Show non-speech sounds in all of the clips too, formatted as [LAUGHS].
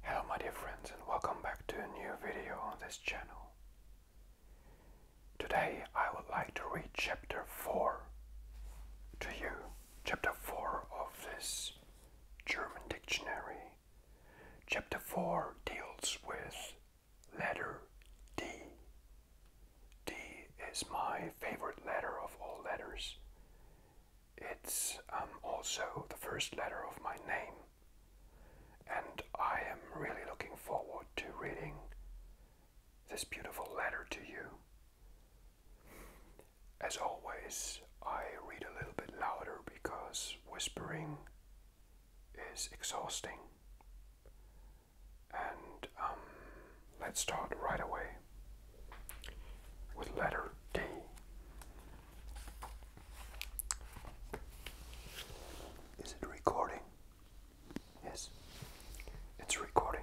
Hello my dear friends and welcome back to a new video on this channel. Today I would like to read chapter 4 to you. Chapter 4 of this German Dictionary. Chapter 4 deals with letter D. D is my favorite letter of all letters. It's um, also the first letter of my name. And I am really looking forward to reading this beautiful letter to you. As always, I read a little bit louder because whispering is exhausting. And um, let's start right away with letter D. Is it recording? Yes, it's recording.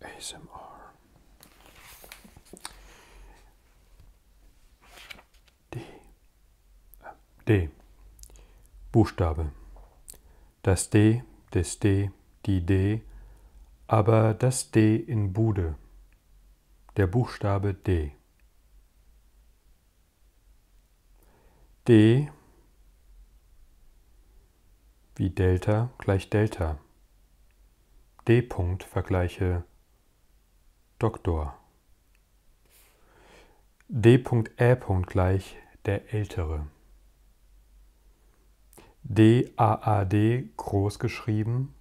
ASMR. D. D. Buchstabe. Das D, des D, die D, aber das D in Bude. Der Buchstabe D. D wie Delta gleich Delta. D-Punkt vergleiche Doktor. D.Ä. gleich der Ältere. DAAD groß geschrieben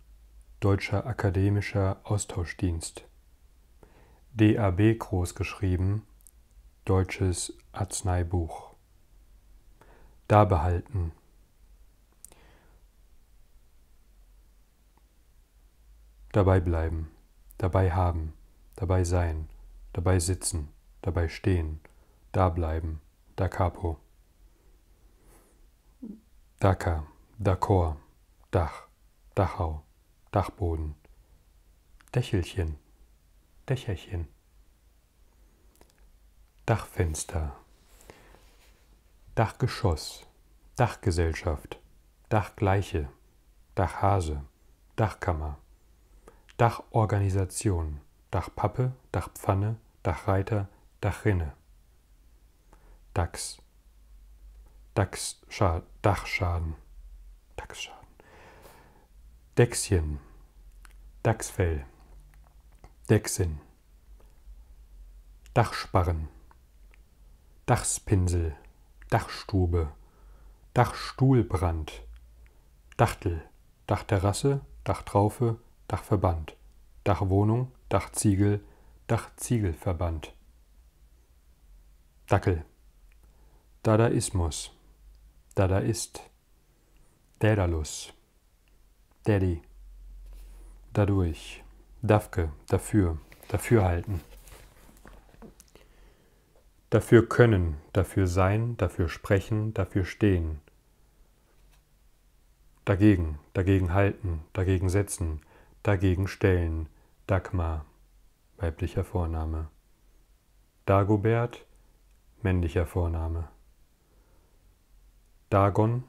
Deutscher Akademischer Austauschdienst. DAB großgeschrieben, Deutsches Arzneibuch. Da behalten. Dabei bleiben, dabei haben, dabei sein, dabei sitzen, dabei stehen, da bleiben, da capo. Dhaka, Dakor, Dach, Dachau, Dachboden, Dächelchen, Dächerchen, Dachfenster, Dachgeschoss, Dachgesellschaft, Dachgleiche, Dachhase, Dachkammer, Dachorganisation, Dachpappe, Dachpfanne, Dachreiter, Dachrinne. DAX, DAX Dachschaden, DAX-Schaden, Dächschen, Dachsfell, Dächsin, Dachsparren, Dachspinsel, Dachstube, Dachstuhlbrand, Dachtel, Dachterrasse, Dachtraufe, Dachverband, Dachwohnung, Dachziegel, Dachziegelverband. Dackel. Dadaismus. Dadaist. Dädalus. Daddy. Dadurch. Dafke. Dafür. Dafürhalten. Dafür können, dafür sein, dafür sprechen, dafür stehen. Dagegen, dagegen halten, dagegen setzen, dagegen stellen Dagmar, weiblicher Vorname. Dagobert, männlicher Vorname. Dagon,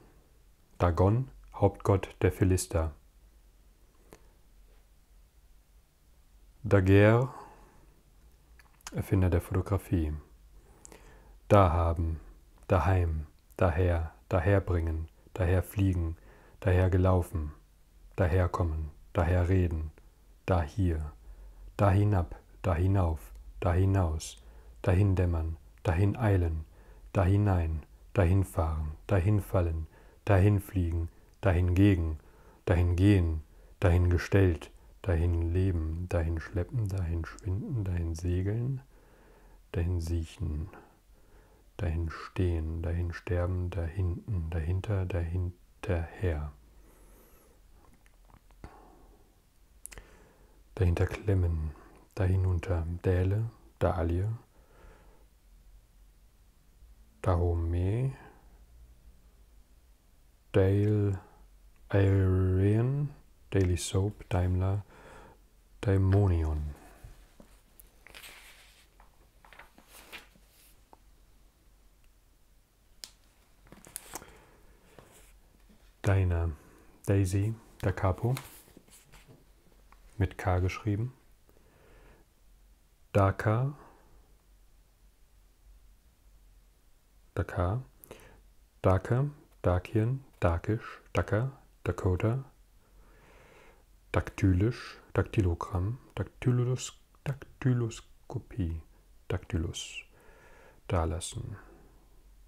Dagon, Hauptgott der Philister. Daguerre, Erfinder der Fotografie. Dahaben, daheim, daher, daherbringen, daherfliegen, dahergelaufen daherkommen, daherreden, dahier, dahinab, dahinauf, dahinaus, dahindämmern, dahin eilen, dahinein, dahinfahren, dahinfallen, dahinfliegen, dahingegen, dahingehen, dahingestellt, dahin leben, dahin schleppen, dahin schwinden, dahin segeln, dahin siechen dahin stehen, dahin sterben, dahinten, dahinter, dahinterher. Dahinter klemmen, dahinunter, Däle, Dahlie, Dahomey, Dale, Arian, Daily Soap, Daimler, Daimonion. Deine Daisy da Capo mit K geschrieben. Dakar. Dakar. Dhaka, Dakien, Dakish, Dhaka, Dakota, Daktylus, Daktylogramm, Daktylus, Daktyloskopie, Daktylus, dalassen,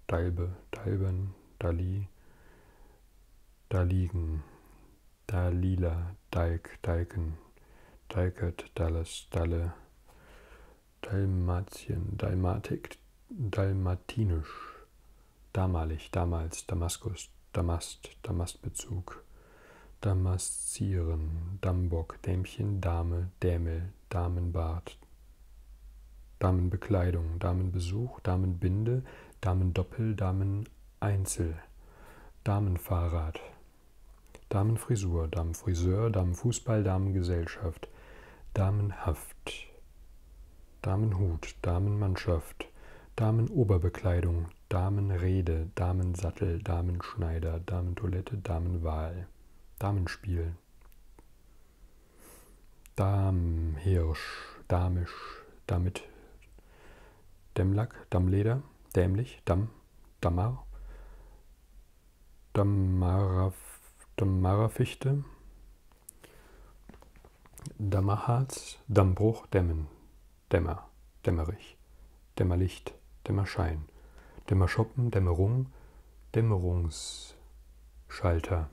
Dalbe, Dalben, Dali, Daligen, Dalila, Dalk, Dalken, Dalket, Dallas, Dalle, Dalmatien, Dalmatik, Dalmatinisch, damalig, damals, Damaskus, Damast, Damastbezug, Damaszieren, Dambock, Dämchen, Dame, Dämel, Damenbart, Damenbekleidung, Damenbesuch, Damenbinde, Damendoppel, Dameneinzel, Damenfahrrad, Damenfrisur, Damenfriseur, Damenfußball, Damengesellschaft, Damenhaft, Damenhut, Damenmannschaft, Damenoberbekleidung, Damenrede, Damensattel, Damenschneider, Damentoilette, Damenwahl, Damenspiel, Damhirsch, Damisch, damit Dämmlack, Dammleder, Dämlich, Damm, Dammar, Dammaraf, Dammarerfichte, Dammerharz, Dammbruch, Dämmen, Dämmer, Dämmerig, Dämmerlicht, Dämmerschein, Dämmerschoppen, Dämmerung, Dämmerungsschalter.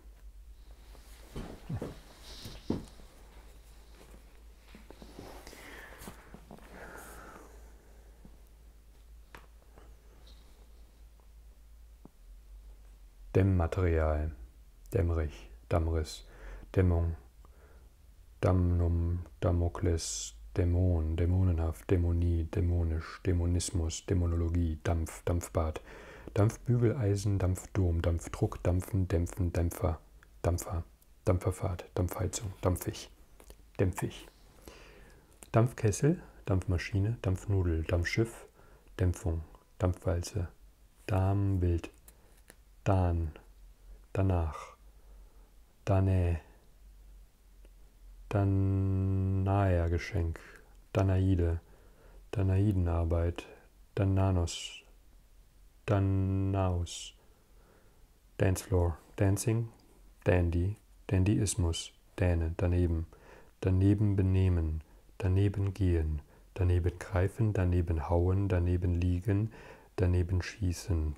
Dämmmaterial, Dämmerich, Dammriss, Dämmung, Damnum, Damokles, Dämon, dämonenhaft, Dämonie, dämonisch, Dämonismus, Dämonologie, Dampf, Dampfbad, Dampfbügeleisen, Dampfdom, Dampfdruck, Dampfen, Dämpfen, Dämpfer, Dampfer, Dampferfahrt, Dampfheizung, Dampfig, Dämpfig. Dampfkessel, Dampfmaschine, Dampfnudel, Dampfschiff, Dämpfung, Dampfwalze, Darmbild, dann, danach, Danae, Danaia-Geschenk, Danaide, Danaidenarbeit, Dananos, Danaus, Dancefloor, Dancing, Dandy, Dandyismus, Däne, daneben, daneben benehmen, daneben gehen, daneben greifen, daneben hauen, daneben liegen, daneben schießen.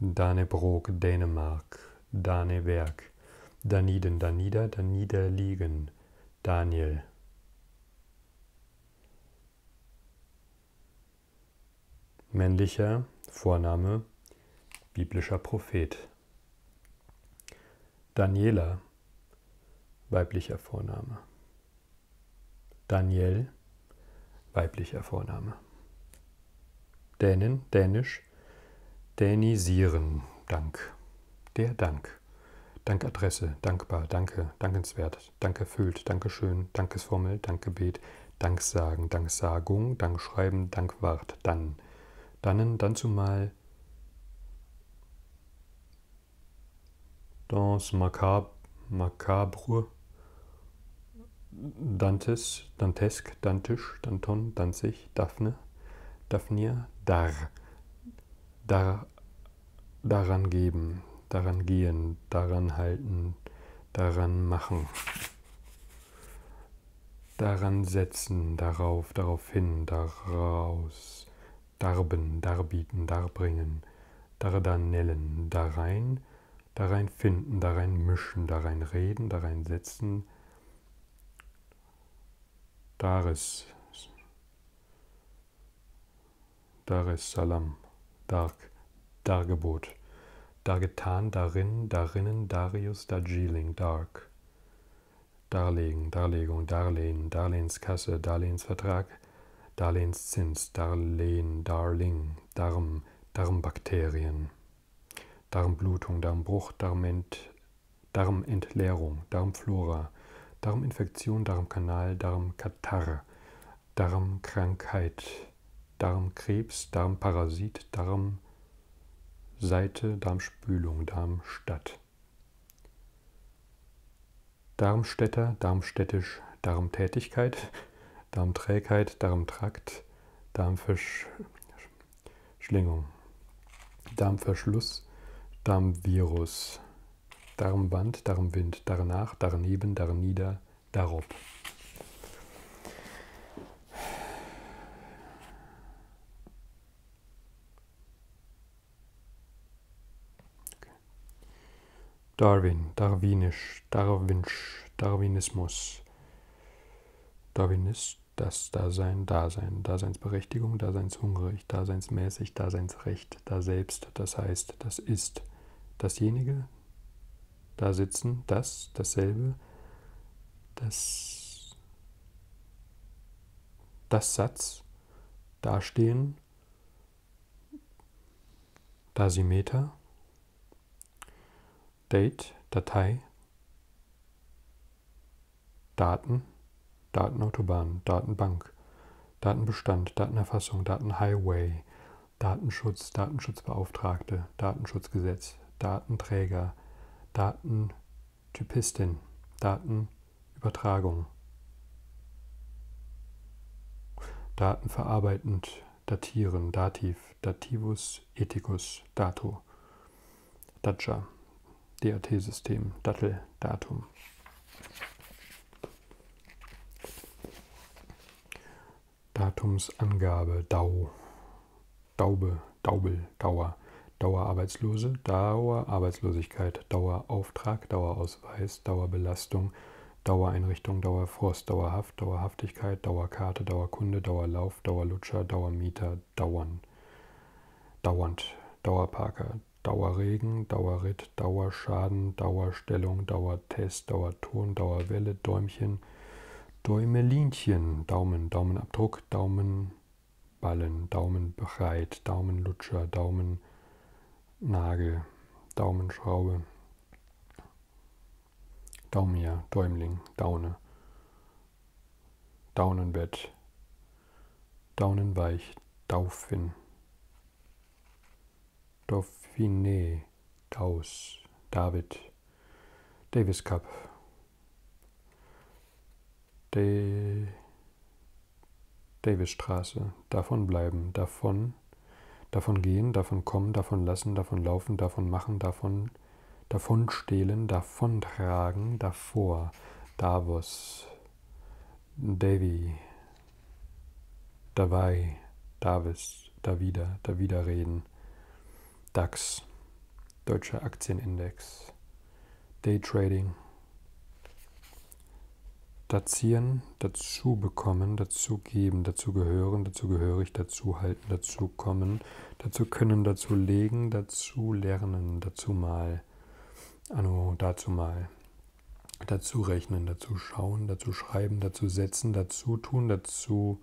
Danebrook, Dänemark, Daneberg, Daniden, Danida, Danida liegen, Daniel. Männlicher Vorname, biblischer Prophet. Daniela, weiblicher Vorname. Daniel, weiblicher Vorname. Dänen, dänisch, dänisieren, Dank. Der Dank. Dankadresse, dankbar, danke, dankenswert, dankerfüllt, dankeschön, Dankesformel, Dankgebet, Danksagen, Danksagung, Dankschreiben, Dankwart, dann. Dannen, dann zumal, Dans macabre, macabre Dantes, Dantesk, Dantisch, Danton, Danzig, Daphne, Daphnia, Dar, Dar, daran geben, daran gehen, daran halten, daran machen, daran setzen, darauf, darauf hin, daraus, darben, darbieten, darbringen, Dardanellen, darein, darein finden, darein mischen, darein reden, darein setzen, Daris, Daris Salam, Dark, Dargebot, Dargetan, darin, darinnen, Darius, Darjeeling, Dark. Darlegen, Darlegung, Darlehen, Darlehenskasse, Darlehensvertrag, Darlehenszins, Darlehen, Darling, Darm, Darmbakterien, Darmblutung, Darmbruch, Darment, Darmentleerung, Darmflora, Darminfektion, Darmkanal, Darmkatarre, Darmkrankheit, Darmkrebs, Darmparasit, Darmseite, Darmspülung, Darmstadt. Darmstädter, Darmstädtisch, Darmtätigkeit, [LAUGHS] Darmträgheit, Darmtrakt, Darmverschlingung, Darmverschluss, Darmvirus, Darmband, Darmwind, Darnach, Darneben, Darnieder, Darob. Darwin, Darwinisch, Darwinsch, Darwinismus. Darwinist, das Dasein, Dasein, Daseinsberechtigung, Daseinshungrig, Daseinsmäßig, Daseinsrecht, da selbst, das heißt, das ist, dasjenige, da sitzen, das, dasselbe, das, das Satz, dastehen, Newton, Dasimeter, Date, Datei, Daten, Datenautobahn, Datenbank, Datenbestand, Datenerfassung, Datenhighway, Datenschutz, Datenschutzbeauftragte, Datenschutzgesetz, Datenträger, Datentypistin, Datenübertragung, Daten verarbeitend, datieren, dativ, dativus, ethicus, dato, datja, DAT-System, dattel, datum. Datumsangabe, Dau, Daube, Daubel, Dauer, Dauerarbeitslose, Dauerarbeitslosigkeit, Dauerauftrag, Dauerausweis, Dauerbelastung, Dauereinrichtung, Dauerfrost, Dauerhaft, Dauerhaftigkeit, Dauerkarte, Dauerkunde, Dauerlauf, Dauerlutscher, Dauermieter, Dauern, Dauernd, Dauerparker, Dauerregen, Dauerritt, Dauerschaden, Dauerstellung, Dauertest, Dauerton, Dauerwelle, Däumchen, Däumelinchen, Daumen, Daumenabdruck, Daumenballen, Daumenbreit, Daumenlutscher, Daumen Nagel, Daumenschraube, Daumia, Däumling, Daune, Daunenbett, Daunenweich, Dauphin, Dauphine, Daus, David, Davis Cup, De Davisstraße, davon bleiben, davon sein, davon gehen, davon kommen, davon lassen, davon laufen, davon machen, davon, davon stehlen, davon tragen, davor, Davos, Davy, dabei, Davis, Davida, Davida reden, DAX, Deutscher Aktienindex, Daytrading, Dazieren, dazu bekommen, dazu geben, dazu gehören, dazu gehörig, dazu halten, dazu kommen, dazu können, dazu legen, dazu lernen, dazu mal, anno, dazu mal, dazu rechnen, dazu schauen, dazu schreiben, dazu setzen, dazu tun, dazu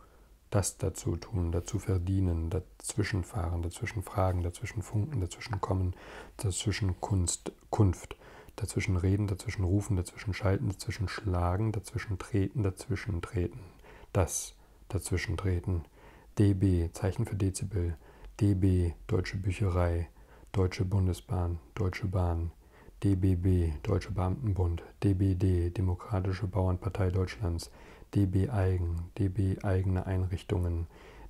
das dazu tun, dazu verdienen, dazwischenfahren, dazwischen fragen, dazwischen funken, dazwischen kommen, dazwischen Kunst, Kunft. Dazwischen reden, dazwischen rufen, dazwischen schalten, dazwischen schlagen, dazwischen treten, dazwischen treten. Das dazwischen treten. DB, Zeichen für Dezibel. DB, Deutsche Bücherei. Deutsche Bundesbahn, Deutsche Bahn. DBB, Deutsche Beamtenbund. DBD, Demokratische Bauernpartei Deutschlands. DB Eigen, DB Eigene Einrichtungen.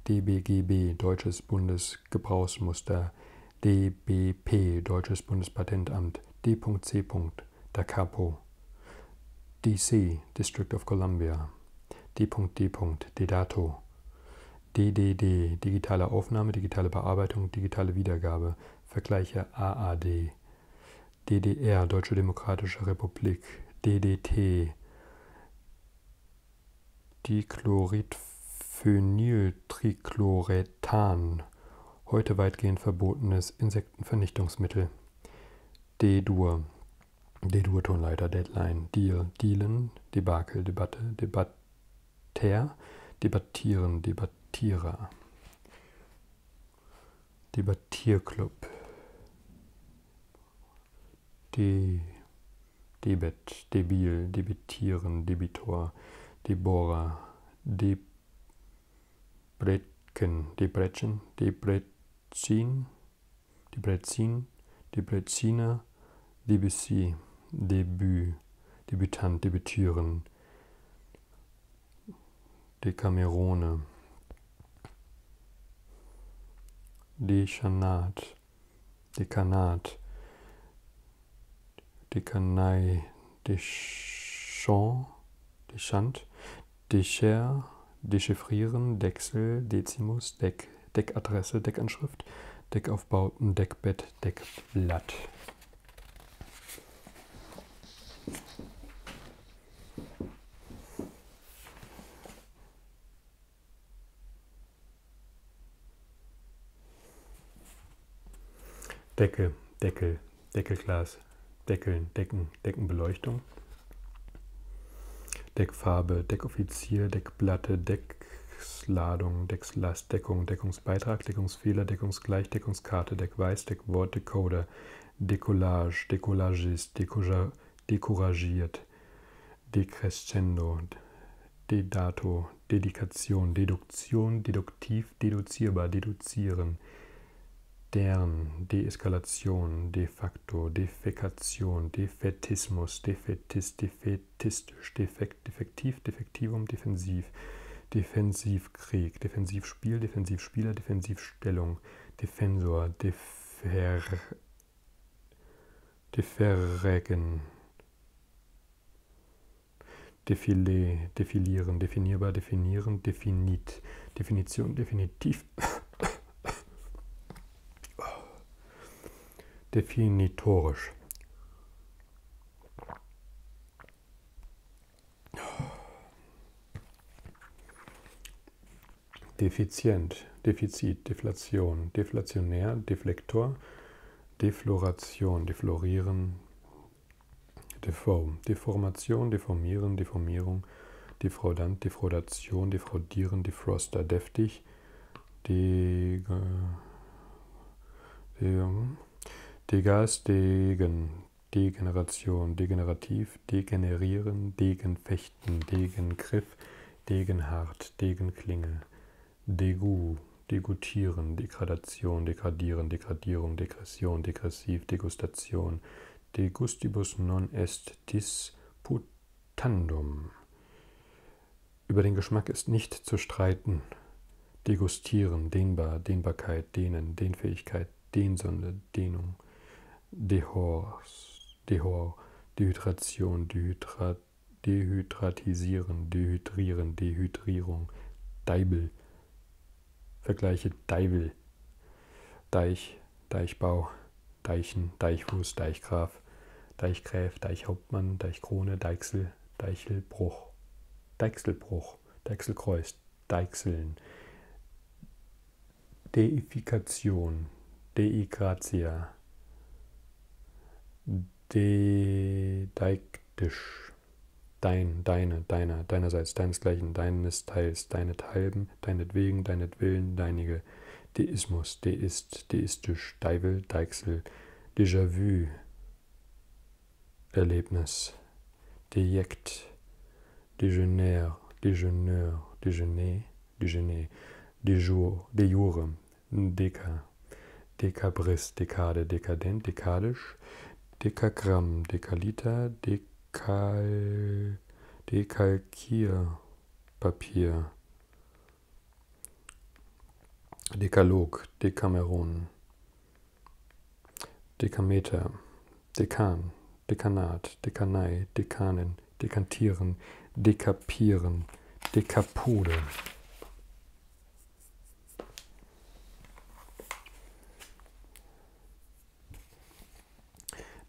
DBGB, Deutsches Bundes Deutsches Gebrauchsmuster DBP, Deutsches Bundespatentamt, D.C. Da Capo, DC, District of Columbia, D.D. Dedato, DDD, digitale Aufnahme, digitale Bearbeitung, digitale Wiedergabe, Vergleiche AAD, DDR, Deutsche Demokratische Republik, DDT, Dichloridphenyl Methyltrichlorethan, heute weitgehend verbotenes Insektenvernichtungsmittel. D-Dur, D-Dur-Tonleiter, Deadline, Deal, Dealen, Debakel, Debatte, Debatter, Debattieren, Debattierer. Debattierclub. De Debet, Debil, Debil debitieren, Debitor, Deborah, Debretken, Debretchen, Debrezin, Debrezin, Debreziner, Debussy, Debüt, Debütant, Debütieren, Decamerone, Dechanat, Dekanat, Dekanei, Deschant, Deschant, Decher, Dechiffrieren, Dechsel, Dezimus, Deck, Deckadresse, Deckanschrift, Deckaufbauten, Deckbett, Deckblatt. Decke, Deckel, Deckelglas, Deckeln, Decken, Deckenbeleuchtung. Deckfarbe, Deckoffizier, Deckplatte, Decksladung, Deckslast, Deckung, Deckungsbeitrag, Deckungsfehler, Deckungsgleich, Deckungskarte, Deckweiß, Deckwort, Decoder, Decollage, Decollagist, Decouragiert, Decrescendo, Dedato, Dedikation, Deduktion, deduktiv, deduzierbar, deduzieren, deren, Deeskalation, de facto, Defekation, Defetismus, Defetist, Defetistisch, Defekt, Defektiv, Defektivum, Defensiv, Defensivkrieg, Defensivspiel, Defensivspieler, Defensivstellung, Defensor, Defer, Deferregen, Defilé, defilieren, definierbar, definieren, definit, Definition, definitiv. Definitorisch. Defizient, Defizit, Deflation, Deflationär, Deflektor, Defloration, Deflorieren, Deform, Deformation, Deformieren, Deformierung, Defraudant, Defraudation, Defraudieren, Defroster, Deftig, De... Äh, de... Hm, degas, Degen, Degeneration, Degenerativ, Degenerieren, Degenfechten, Degengriff, Degenhart, Degenklinge, Degu, Degutieren, Degradation, Degradieren, Degradierung, Degression, Degressiv, Degustation, Degustibus non est disputandum. Über den Geschmack ist nicht zu streiten. Degustieren, Dehnbar, Dehnbarkeit, Dehnen, Dehnfähigkeit, Dehnsonde, Dehnung, Dehors, Dehor, Dehydration, Dehydrat, Dehydratisieren, Dehydrieren, Dehydrierung, Deibel. Vergleiche Deibel, Deich, Deichbau, Deichen, Deichfuß, Deichgraf, Deichgräf, Deichhauptmann, Deichkrone, Deichsel, Deichelbruch, Deichselbruch, Deichselkreuz, Deichseln, Deifikation, Deigratia, Dedeiktisch, falsch. Dein, deine, deiner, deinerseits, deinesgleichen, deines Teils, deinethalben, deinetwegen, deinetwillen, deinige, Deismus, Deist, Deistisch, Deivel, Deichsel, Déjà-vu, Erlebnis, Dejekt, Dejeuner, Dejeuner, Dejeuner, Dejeuner, de jour, de jure, Deka, Dekabris, Dekade, Dekadent, Dekadisch, Dekagramm, Dekaliter, Dekal, Dekalkierpapier, Dekalog, Dekameron, Dekameter, Dekan, Dekanat, Dekanei, Dekanen, Dekantieren, Dekapieren, Dekapode.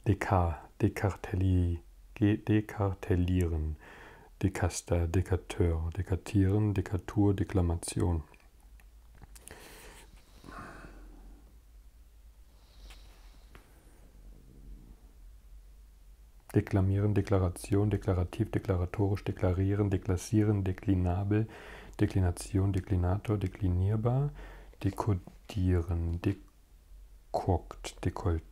Dekar, dekartelli, dekartellieren, Dekaster, Dekateur, Dekatieren, Dekatur, Deklamation. Deklamieren, Deklaration. Deklaration, deklarativ, deklaratorisch, deklarieren, deklassieren, deklinabel, Deklination, Deklinator, deklinierbar, dekodieren, dekokt, dekolleté,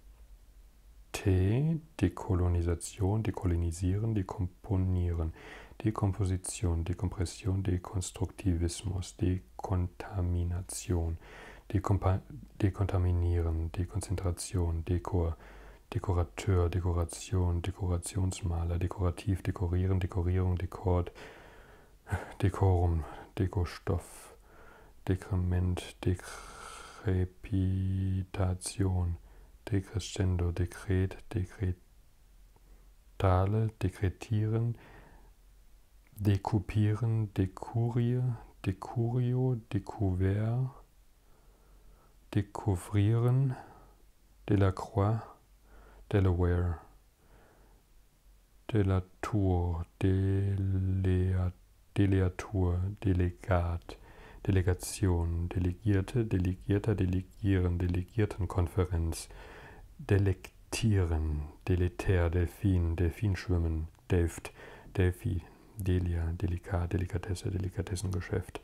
dekolonisation, dekolonisieren, dekomponieren, Dekomposition, Dekompression, Dekonstruktivismus, Dekontamination, Dekompa dekontaminieren, Dekonzentration, Dekor, Dekorateur, Dekoration, Dekorationsmaler, Dekorativ, Dekorieren, Dekorierung, Dekord, Dekorum, Dekostoff, Dekrement, Dekrepitation, Decrescendo, Dekret, Dekretale, Dekretieren, Dekupieren, Dekurie, Decurio, Decouvert, Decouvrieren Delacroix, Delaware, Delatour, Delea, Deleatur, Delegat, Delegation, Delegierte, Delegierter, Delegieren, Delegiertenkonferenz, Delektieren, Deletär, Delfin, Delfinschwimmen, Delft, Delphi, Delia, Delikat, Delikatesse, Delikatessengeschäft,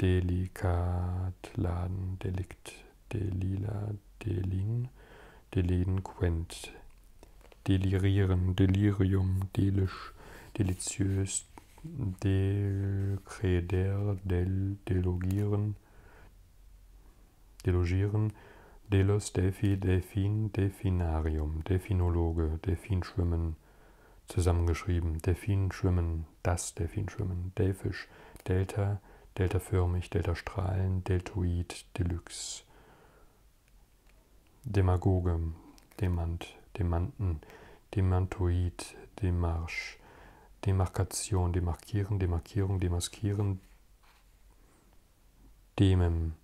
Delikatladen, Delikt, Delila, Delin, Delinquent, Delirieren, Delirium, Delisch, Deliziös, Delcreder, Del, Delogieren, Delogieren, Delos, Delphi, Delfin, Delfinarium, Delfinologe, Delfinschwimmen, zusammengeschrieben, Delfinschwimmen, Delfin, das Delfinschwimmen, Delfisch, Delta, Deltaförmig, Deltastrahlen, Deltoid, Deluxe, Demagoge, Demant, Demanten, Demantoid, Demarsch, Demarkation, Demarkieren, Demarkierung, Demaskieren, Demem,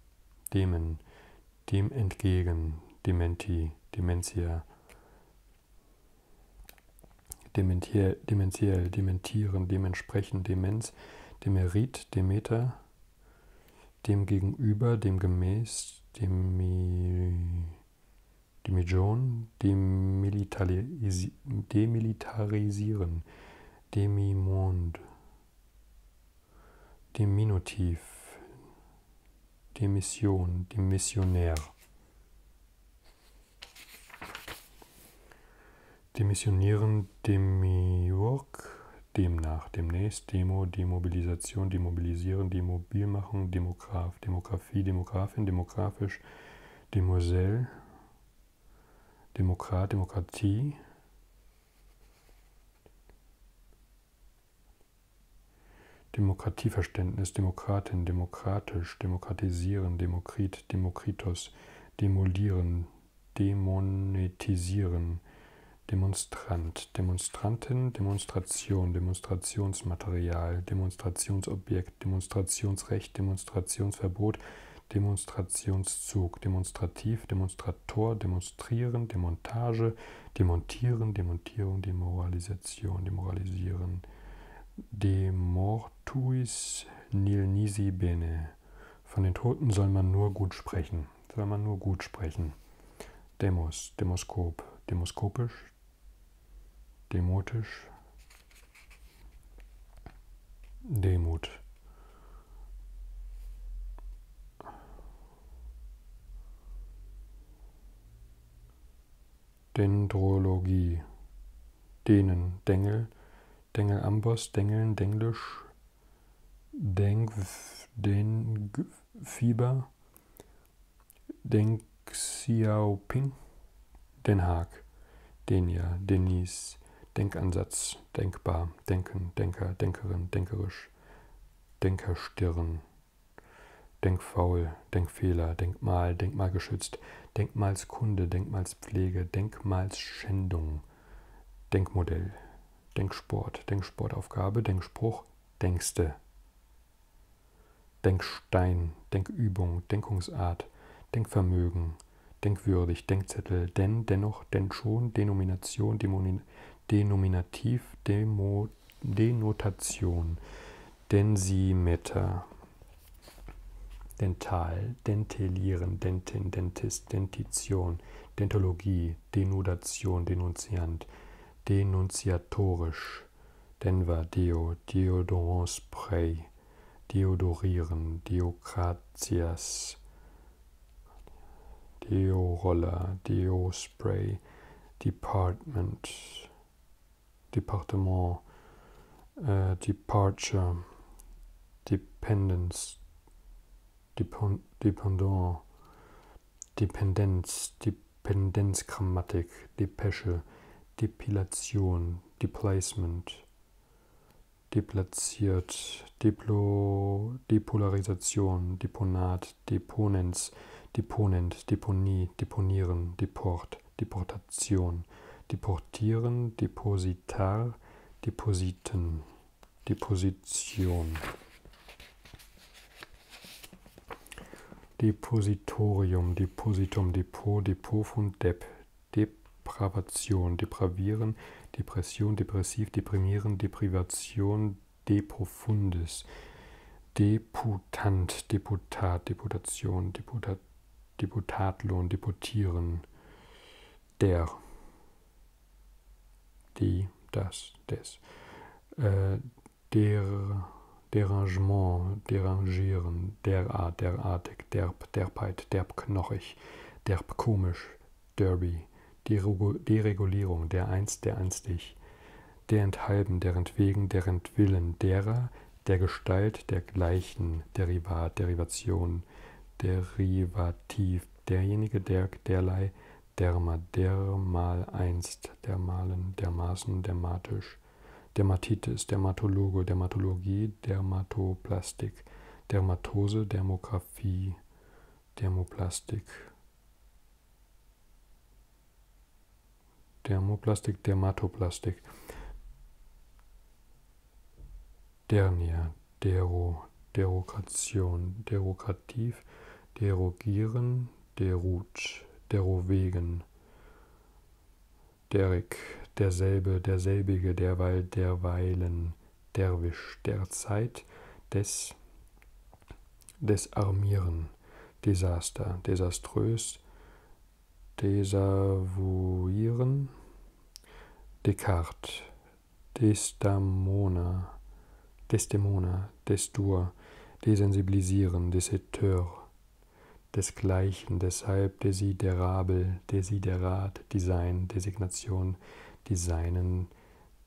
Demen, Dem entgegen, Dementi, Dementia, Dementiell, dementiell, dementieren, dementsprechend, Demenz, Demerit, Demeter, dem gegenüber, dem gemäß, dem Demijon, demilitarisi demilitarisieren, demimond, diminutiv, die Mission, dem Missionär. Demissionieren, Demiurg, demnach, demnächst, Demo, Demobilisation, Demobilisieren, Demobil machen, Demograf, Demografie, Demografin, demografisch, Demosel, Demokrat, Demokratie, Demokratieverständnis, Demokratin, demokratisch, demokratisieren, Demokrit, Demokritos, demolieren, demonetisieren, Demonstrant, Demonstrantin, Demonstration, Demonstrationsmaterial, Demonstrationsobjekt, Demonstrationsrecht, Demonstrationsverbot, Demonstrationszug, Demonstrativ, Demonstrator, Demonstrieren, Demontage, Demontieren, Demontierung, Demoralisation, Demoralisieren. Demortuis nil nisi bene. Von den Toten soll man nur gut sprechen. Soll man nur gut sprechen. Demos, Demoskop, demoskopisch, demotisch, Demut. Dendrologie. Denen, Dengel, Dengelambos, Dengeln, Denglisch, Denkf, Denkfieber, Denk Xiaoping, Den Haag, Denia, Denis, Denkansatz, Denkbar, Denken, Denker, Denkerin, Denkerisch, Denkerstirn. Denkfaul, Denkfehler, Denkmal, Denkmalgeschützt, Denkmalskunde, Denkmalspflege, Denkmalsschändung, Denkmodell, Denksport, Denksportaufgabe, Denkspruch, Denkste, Denkstein, Denkübung, Denkungsart, Denkvermögen, Denkwürdig, Denkzettel, denn, dennoch, denn schon, Denomination, Demo, Denominativ, Demo, Denotation, Densimeter, Dental, Dentelieren, Dentin, Dentist, Dentition, Dentologie, Denudation, Denunziant, Denunziatorisch, Denver, Deo, Deodorantspray, Deodorieren, Deokratias, Deo-Roller, Deo-Spray, Department, Departement, äh, Departure, Dependence, Depend Dependant, Dependenz, Dependenzgrammatik, Depesche, Depilation, Deplacement, deplatziert, Deplo, Depolarisation, Deponat, Deponenz, Deponent, Deponie, Deponie, Deponieren, Deport, Deportation, Deportieren, Depositar, Depositen, Deposition. Depositorium, Depositum, Depot, Depot von Dep, Depravation, Depravieren, Depression, Depressiv, Deprimieren, Deprivation, Deprofundis, Deputant, Deputat, Deputation, Deputat, Deputatlohn, Deputieren, der, die, das, des, äh, der, Derangement, Derangieren, derart, derartig, derb, derbheit, derbknochig, derbkomisch, derby, Deregulierung, der einst, der einstig, derenthalben, derentwegen, derentwillen, derer, der Gestalt, dergleichen, Derivat, Derivation, Derivativ, derjenige, der, derlei, derma, dermal einst, dermalen, dermaßen, dermatisch, Dermatitis, Dermatologe, Dermatologie, Dermatoplastik, Dermatose, Dermografie, Dermoplastik, Dermoplastik, Dermatoplastik. Dernia, Dero, Derokration, Derogativ, Derogieren, Derut, Derowegen. Derrick, derselbe, selbige, derweil, derweilen, derwisch, derzeit, des, desarmieren, Desaster, desaströs, desavouieren, Descartes, Desdamona, Desdemona, Desdur, desensibilisieren, Deseteur, desgleichen, deshalb, desiderabel, desiderat, Design, Designation, Designen,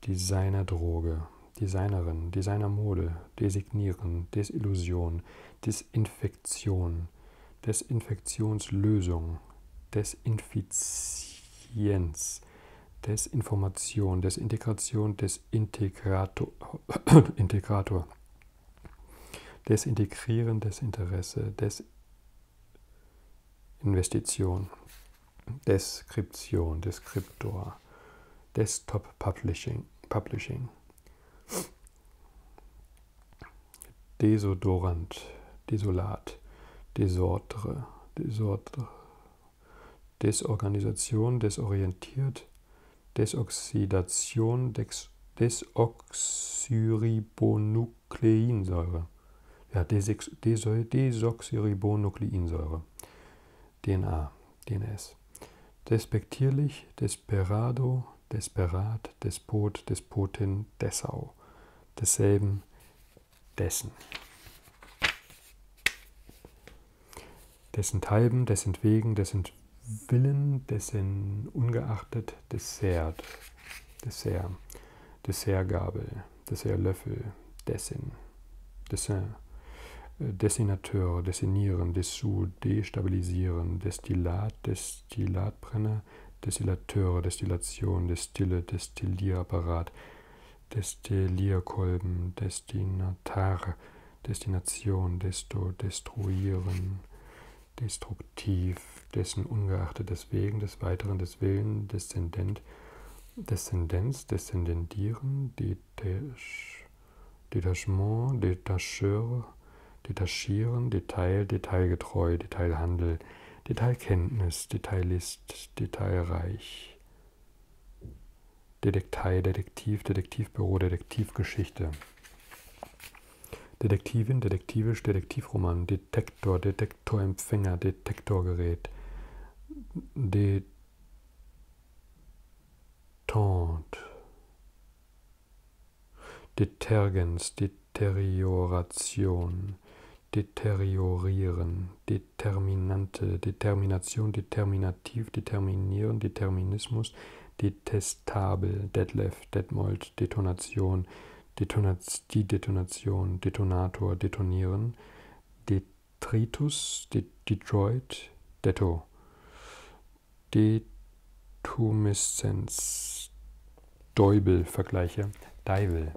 Designerdroge, Designerin, Designermode, Designieren, Desillusion, Desinfektion, Desinfektionslösung, Desinfizienz, Desinformation, Desintegration, Desintegrator, [COUGHS] Integrator, Desintegrieren, Desinteresse, Desinvestition, Deskription, Deskriptor, Desktop Publishing, Publishing. Desodorant, Desolat, Desordre, Desordre, Desorganisation, desorientiert, Desoxidation, Dex, Desoxyribonukleinsäure. Ja, Desoxyribonukleinsäure. DNA, DNS. Despektierlich, desperado, desperat, despot, despotin, dessau. Desselben, dessen. Dessenthalben, dessentwegen, dessentwillen, dessen ungeachtet, Dessert, Dessert, Dessertgabel, Dessertlöffel, Dessin, Dessin, äh, Dessinateur, Dessinieren, Dessous, zu destabilisieren. Destillat, Destillatbrenner, Destillateure, Destillation, Destille, Destillierapparat, Destillierkolben, Destinatare, Destination, Desto, Destruieren, Destruktiv, dessen ungeachtet des Wegen, des Weiteren, des Willen, Deszendent, Deszendenz, Deszendendieren, die Detach, Detachement, Detacheur, Detachieren, Detail, Detailgetreu, Detailhandel, Detailkenntnis, Detailist, Detailreich, Detektei, Detektiv, Detektivbüro, Detektivgeschichte. Detektivin, Detektivisch, Detektivroman, Detektor, Detektorempfänger, Detektorgerät, Detente, Detergens, Deterioration, deteriorieren, Determinante, Determination, Determinativ, Determinieren, Determinismus, detestabel, Detlef, Detmold, Detonation, Detonaz die Detonation, Detonator, Detonieren, Detritus, De Detroit, Detto, Detumeszenz. Deubel vergleiche. Deivel.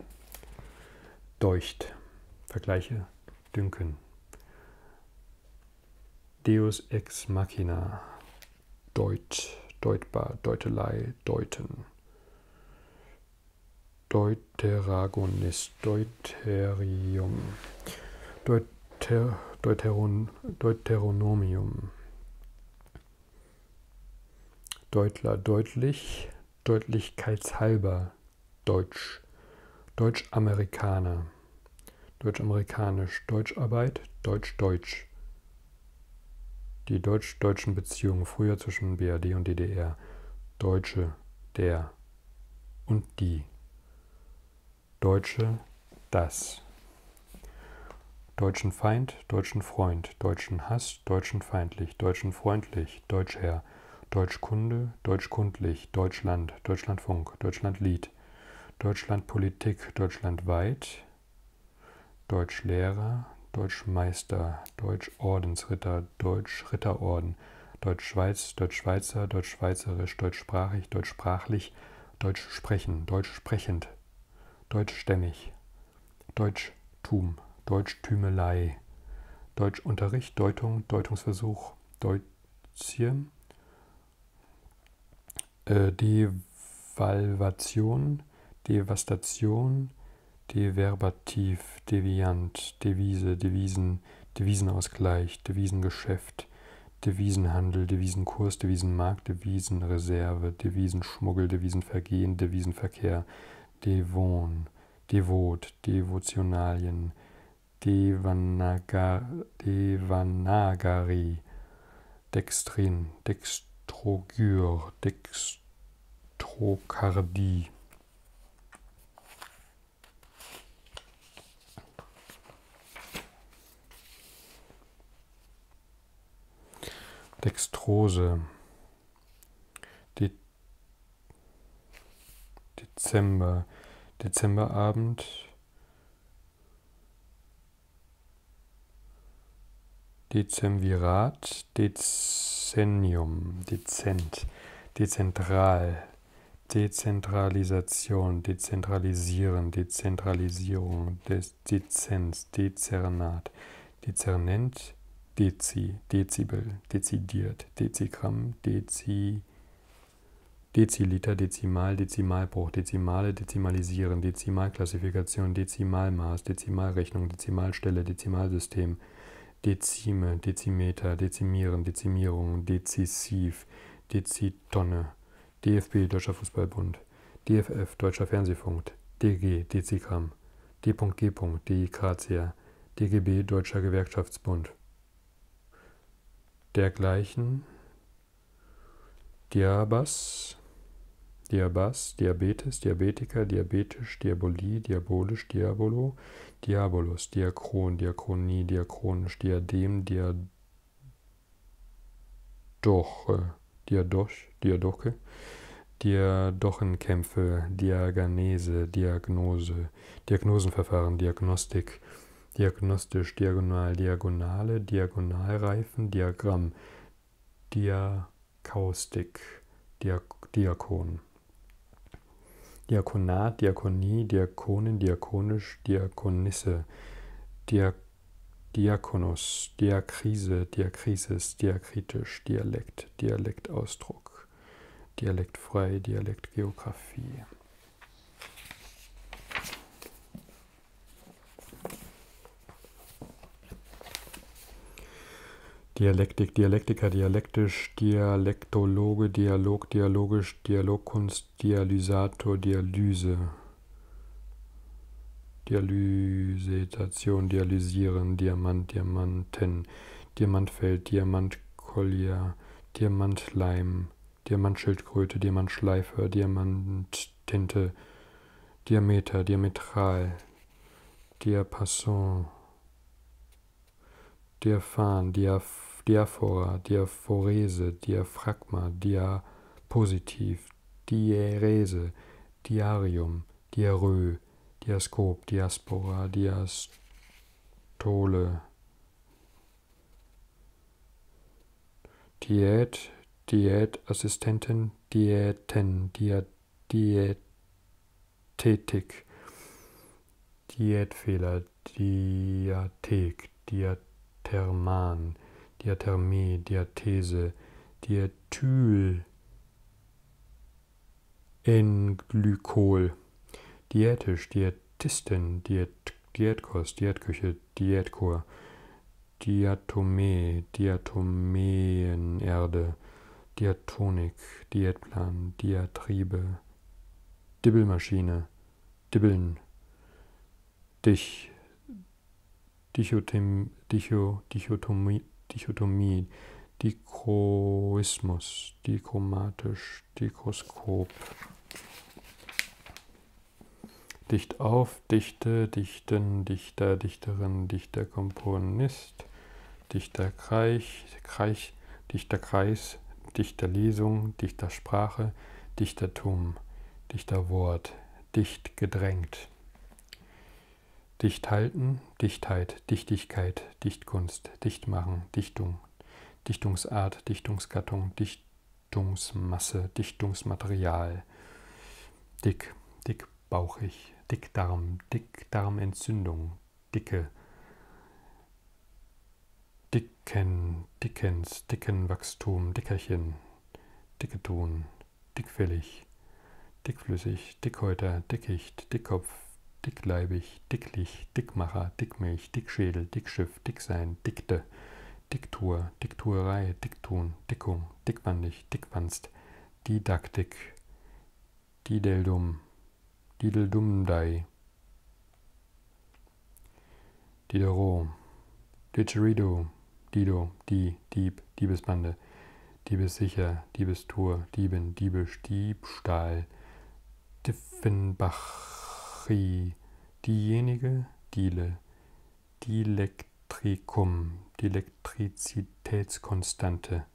Deucht. Vergleiche. Dünken. Deus ex machina. Deut. Deutbar. Deutelei. Deuten. Deuteragonist. Deuterium. Deut Deuter, Deuteron, Deuteronomium. Deutler deutlich, deutlichkeitshalber, Deutsch, Deutsch-Amerikaner, Deutsch-Amerikanisch, Deutscharbeit, Deutsch-Deutsch. Die deutsch-deutschen Beziehungen früher zwischen BRD und DDR, Deutsche, der und die. Deutsche das. Deutschen Feind, deutschen Freund, deutschen Hass, deutschen feindlich, deutschen freundlich, Deutschherr, Deutschkunde, deutschkundlich, Deutschland, Deutschlandfunk, Deutschlandlied, Deutschlandpolitik, deutschlandweit, Deutschlehrer, Deutschmeister, Deutschordensritter, Deutschritterorden, Deutschschweiz, Deutschschweizer, Deutschschweizerisch, Deutschsprachig, Deutschsprachlich, Deutsch Deutsch sprechen, Deutsch sprechend, deutschstämmig, Deutschtum, Deutschtümelei, Deutschunterricht, Deutung, Deutungsversuch, Deutschen, äh, Devalvation, Devastation, Deverbativ, Deviant, Devise, Devisen, Devisenausgleich, Devisengeschäft, Geschäft, Devisenhandel, Devisenkurs, Devisenmarkt, Devisenreserve, Devisenschmuggel, Devisenvergehen, Devisenverkehr, Devon, Devot, Devotionalien, Devanaga, Devanagari, Dextrin, Dextrogyr, Dextrokardie. Dextrose. De Dezember. Dezemberabend. Dezemvirat, Dezennium, Dezent, Dezentral, Dezentralisation, Dezentralisieren, Dezentralisierung, Des Dezenz, Dezernat, Dezernent, Dezi, Dezibel, Dezidiert, Dezigramm, Dezi, Deziliter, Dezimal, Dezimalbruch, Dezimale, Dezimalisieren, Dezimalklassifikation, Dezimalmaß, Dezimalrechnung, Dezimalstelle, Dezimalsystem, Dezime, Dezimeter, Dezimieren, Dezimierung, Dezisiv, Dezitonne, DFB Deutscher Fußballbund, DFF Deutscher Fernsehfunk, DG DCCAM, D.G. DIKCR, DGB Deutscher Gewerkschaftsbund. Dergleichen Diabas, Diabas, Diabetes, Diabetiker, Diabetisch, Diabolie, Diabolisch, Diabolo, Diabolus, Diakron, Diakronie, Diakronisch, Diadem, Diadem. Doch, äh, Diadoch, Diadoche, Diadochenkämpfe, Diaganese, Diagnose, Diagnosenverfahren, Diagnostik, diagnostisch, diagonal, diagonale, Diagonalreifen, Diagramm, Diakaustik, Diak Diakon. Diakonat, Diakonie, Diakonin, Diakonisch, Deutsch Diakonisse, Diak Diakonos, Diakrise, Diakrisis, Diakritisch, Dialekt, Dialektausdruck, Dialektfrei, Dialektgeografie. Dialektik, Dialektiker, dialektisch, Dialektologe, Dialog, dialogisch, Dialogkunst, als Dialysator Dialyse. Dialysetation, Dialysieren, Diamant, Diamanten, Diamantfeld, Diamantkollier, Diamantleim, Diamantschildkröte, Diamantschleifer, Diamanttinte, Diameter, Diametral, Diapason, Diaphan, Diaf Diaphora, Dia Diaphorese, Diaphragma, Diapositiv, Diärese, Diarium, Diarö, Diaskop, Diaspora, Diastole, Diät, Diätassistenten, Diäten, Dia, Diätetik, Diätfehler, äh, Diathek, Diatherman, Diathermie, Diathese, Diethyl, Englykol, Diätisch, Diätistin, Diät, Diätkost, Diätküche, Diätkur, Diatomee, Diatomeenerde, Diatonik, Diätplan, Diatriebe, Dibbelmaschine, Dibbeln, Dich, Dichotim, Dicho, Dichotomie, Dichotomie, Dichroismus, dichromatisch, Dikroskop. Dicht auf, Dichte, Dichten, Dichter, Dichterin, Dichter, Komponist, Dichterkreis, Kreis, Dichterkreis, Dichterlesung, Dichtersprache, Dichtertum. Dichterwort, dicht gedrängt. Dicht halten, Dichtheit, Dichtigkeit, Dichtkunst, Dichtmachen, Dichtung, Dichtungsart, Dichtungsgattung, Dichtungsmasse, Dichtungsmaterial. Dick, dickbauchig, Dickdarm, Dickdarmentzündung, dicke, Dicken, Dickens, Dickenwachstum, Dickerchen, Dicketon, dickfällig, dickflüssig, Dickhäuter, Dickicht, Dickkopf, dickleibig, dicklich, Dickmacher, Dickmilch, Dickschädel, Dickschiff, Dicksein, Dickte, Diktur, Dikturei, Dickton, Dickung, Dickwandig, Dickwanst, Didaktik, Dideldum, Dideldumdei, Diderot, Didgeridoo, Dido, Die, Dieb, Diebesbande, Diebessicher, Diebestor, Dieben, Diebisch, Diebstahl, Diffenbachi, Diejenige, Diele, Dielektrikum, Dielektrizitätskonstante.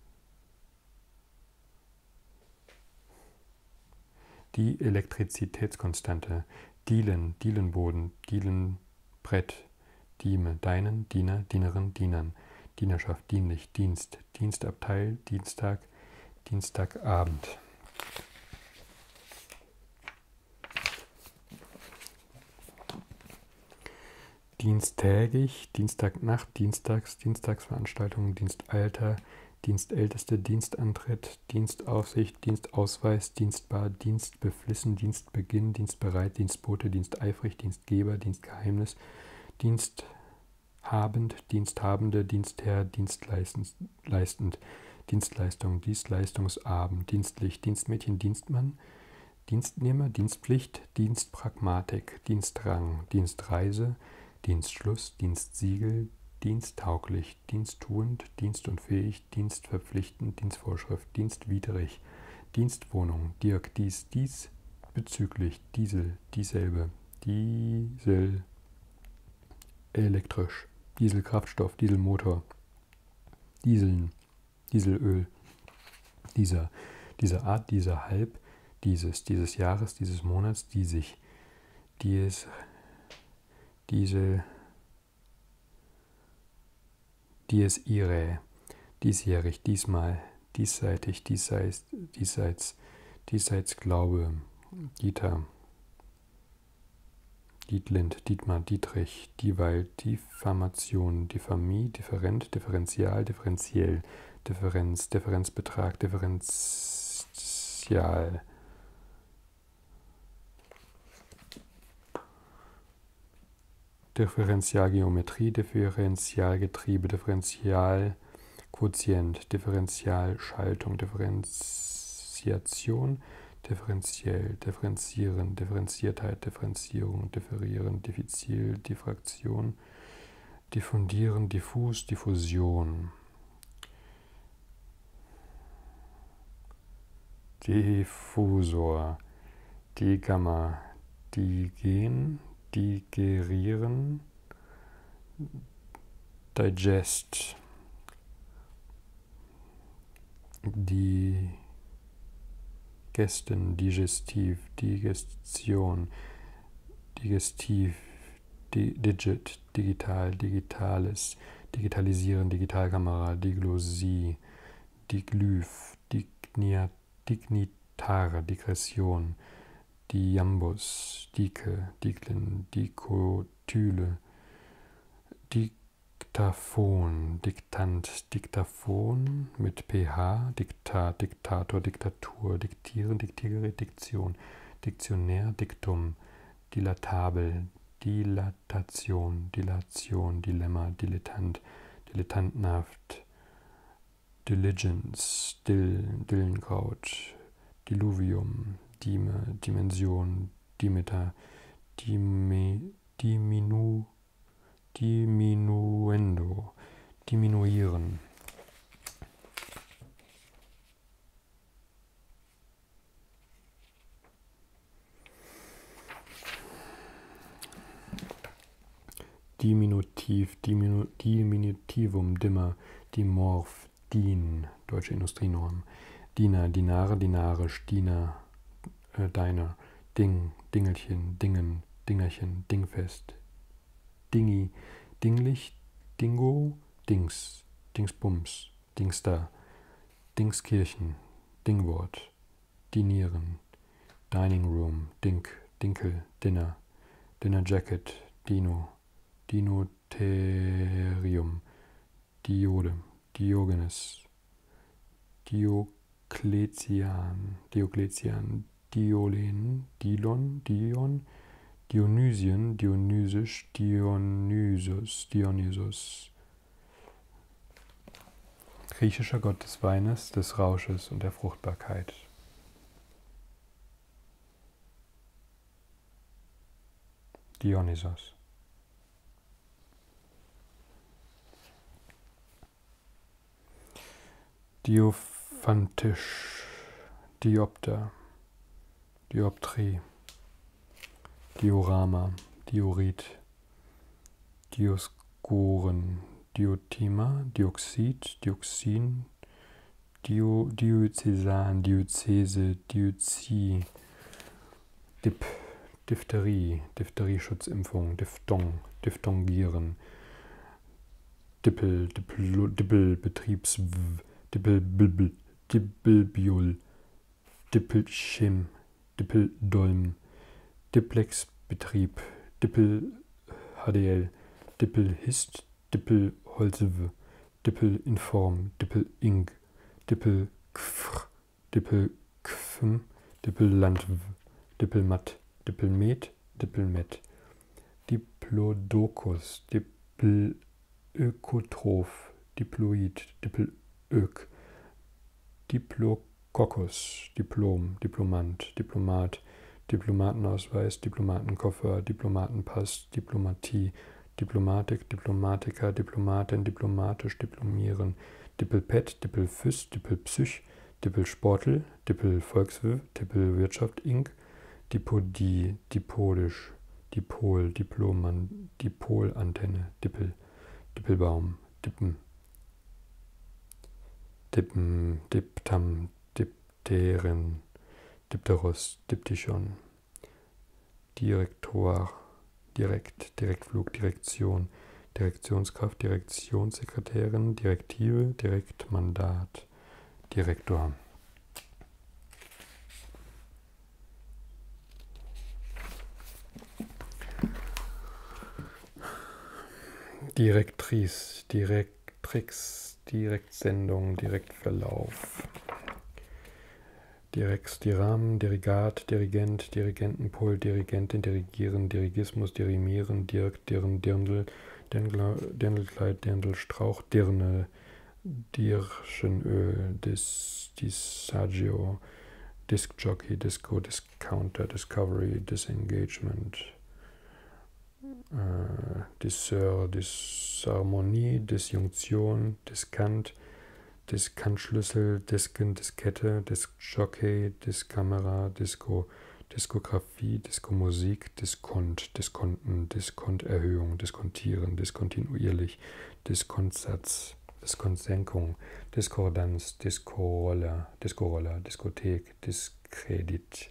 Die Elektrizitätskonstante. Dielen, Dielenboden, Dielenbrett, Dieme, Deinen, Diener, Dienerin, Dienern. Dienerschaft, dienlich, Dienst, Dienstabteil, Dienstag, Dienstagabend. Diensttägig, Dienstagnacht, Dienstags, Dienstagsveranstaltungen, Dienstalter, Dienstälteste, Dienstantritt, Dienst, Dienstaufsicht, Dienstausweis, Dienstbar, Dienstbeflissen, Dienstbeginn, Dienstbereit, Dienstbote, Diensteifrig, Dienstgeber, Dienstgeheimnis, Diensthabend, Diensthabende, Dienstherr, Dienstleistend, Dienstleistung, Dienstleistungsabend, Dienstlich, Dienstmädchen, Dienstmann, Dienstnehmer, Dienstpflicht, Dienstpragmatik, Dienstrang, Dienstreise, Dienstschluss, Dienstsiegel, Diensttauglich, Diensttuend, Dienst dienstpflichtig, dienstverpflichtend, Dienstvorschrift, dienstwidrig, Dienstwohnung, Dirk, dies, dies, bezüglich, Diesel, dieselbe, Diesel, elektrisch, Dieselkraftstoff, Dieselmotor, Dieseln, Dieselöl, dieser, dieser Art, dieser Halb, dieses, dieses Jahres, dieses Monats, die sich, dies, Diesel, die es ihre, diesjährig, diesmal, diesseitig, diesseits, diesseits, diesseits Glaube, Dieter, Dietlind, Dietmar, Dietrich, Dieweil, Diffamation, Diffamie, Different, Differential, Differenziell, Differenz, Differenzbetrag, Differential, Differentialgeometrie, Differentialgetriebe, Differentialquotient, Differentialschaltung, Differenziation, differenziell, differenzieren, Differenziertheit, Differenzierung, differieren, diffizil, Diffraktion, diffundieren, diffus, Diffusion. Diffusor, Digamma, Digen, Digerieren, Digest, Digesten, Digestiv, Digestion, Digestiv, Digit, Internet, digital, digitales, digitalisieren, Digitalkamera, Diglosie, Diglyph, Dignia, Dignitare, Digression, Diambus, Dike, Diglin, Dikotyle, Diktaphon, Diktant, Diktaphon mit PH, Diktat, Diktator, Diktatur, Diktieren, Diktiergerät, Diktion, Diktionär, Diktum, Dilatabel, Dilat Dilatation, Dilation, Dilemma, Dilettant, Dilettantenhaft, Diligence, Dill, Dillenkraut, Diluvium, Dime, Dimension, Dimeter, Dime, Diminu, Diminuendo, Diminuieren. Diminutiv, Diminu, Diminutivum, Dimmer, Dimorph, DIN, Deutsche Industrienorm, Diener, Dinare, Dinarisch, Diener, äh, Deiner, Ding, Dingelchen, Dingen, Dingerchen, Dingfest, Dingi, Dinglich, Dingo, Dings, Dingsbums. Dings da, Dingskirchen, Dingwort, Dinieren, Dining Room, Dink, Dinkel, Dinner, Dinner Jacket, Dino, Dinotherium, Diode, Diogenes, Diokletian, Diokletian, Diolen, Dilon, Dion, Dionysien, Dionysisch, Dionysus, Dionysus, Griechischer Gott des Weines, des Rausches und der Fruchtbarkeit. Dionysos. Diophantisch, Diopter, Dioptrie, Diorama, Diorit, Dioskuren, Diotima, Dioxid, Dioxin, Dio, Diözesan, Diözese, Diözie, Dip, Diphtherie, Diphtherie-Schutzimpfung, Diphthong, Diphthongieren, Dippel, Dippel, Dippel, Betriebs, Dippel, Dippel, Dippelbiol, Dippelschim, Dippeldolm, Diplexbetrieb, Dippel-HDL, Dippelhist, Dippelholzwe, Dippelinform, Dippelinc, Dippelkfr, Dippelkfm, Dippellandw, Dippelmatt, Dippelmet, Dippelmet, Diplodocus, Dippel Ökotroph, Diploid, Diplök, Diplococcus, Diplom, Diplomant, Diplomat, Diplomatenausweis, Diplomatenkoffer, Diplomatenpass, Diplomatie, Diplomatik, Diplomatiker, Diplomatin, diplomatisch, diplomieren, Dippelpet, Dippelfüß, Dippelpsych, Dippelsportel, Dippelvolkswirt, Dippelwirtschaft Inc., Dipodie, Dipodisch, Dipol, Diploman, Dipolantenne, Dippel, Dippelbaum, Dippen, Dippen, Diptam, Dipteren, Dipterus, Diptychon, Direktor, Direkt, Direktflug, Direktion, Direktionskraft, Direktionssekretärin, Direktive, Direktmandat, Direktor. Direktrice, Direktrix, Direktsendung, Direktverlauf. Direx, Diram, Dirigat, Dirigent, Dirigentenpult, Dirigentin, Dirigieren, Dirigismus, Dirimieren, Dirk, Dirn, Dirndl, Dirndlkleid, Dirndlstrauch, Dirne, Dirschenöl, Dis, Disagio, Disc Jockey, Disco, Discounter, Discovery, Disengagement, äh, Dissert, Disharmonie, Disjunktion, Diskant, Diskantschlüssel, Disken, Diskette, Diskjockey, Diskamera, Disco, Diskografie, Diskomusik, Diskont, Diskonten, Diskonterhöhung, Diskontieren, Diskontinuierlich, Diskontsatz, Discordes, Diskonsenkung, Diskordanz, Discorolle, Discorolle, Diskothek, Diskredit,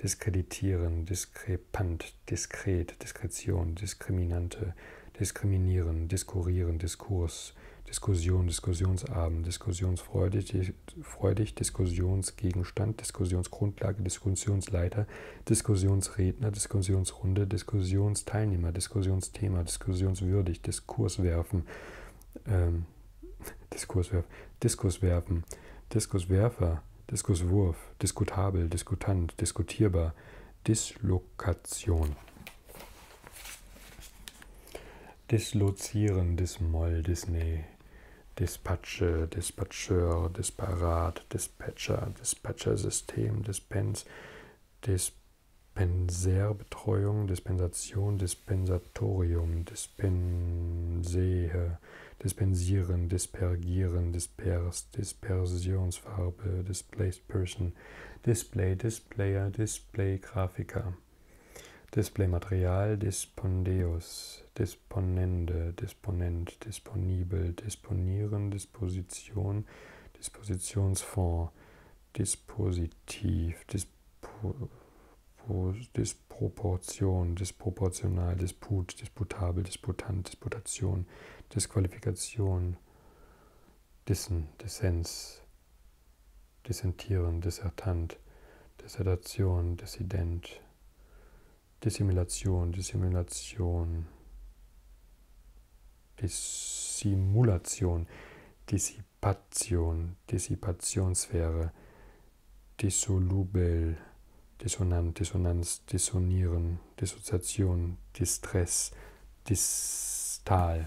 Diskreditieren, Diskrepant, Diskret, Diskretion, Diskriminante, Diskriminieren, Diskurieren, Diskurs, Diskussion, Diskussionsabend, Diskussionsfreudig, freudig, Diskussionsgegenstand, Diskussionsgrundlage, Diskussionsleiter, Diskussion Diskussionsredner, Diskussionsrunde, Diskussionsteilnehmer, Diskussionsthema, diskussionswürdig, Diskurs werfen, ähm, [LAUGHS] Diskurswerf, Diskus werfen, Diskuswerfer, Diskuswurf, diskutabel, diskutant, diskutierbar, Dislokation. Dislozieren, Dismoll, Disney, Dispatche, Dispatcheur, Disparat, Dispatcher, Dispatchersystem, Dispens, Dispatch. Dispensärbetreuung, Dispensation, Dispensatorium, Dispensehe, Dispensieren, Dispergieren, Dispers, Dispersionsfarbe, Displaced Person, Display, Displayer, Display, Grafiker, Displaymaterial, Dispondeus, Disponende, Disponent, Disponibel, Disponieren, Disposition, Dispositionsfonds, dispositiv, dispo, Disproportion, disproportional, Disput, disputabel, disputant, Disputation, Disqualifikation, Dissen, Dissens, Dissentieren, Dissertant, Dissertation, Dissident, Dissimulation, Dissimulation, Dissimulation, Dissipation, Dissipationssphäre, Dissolubel, Dissonant, Dissonanz, Dissonieren, Dissoziation, Distress, Distal.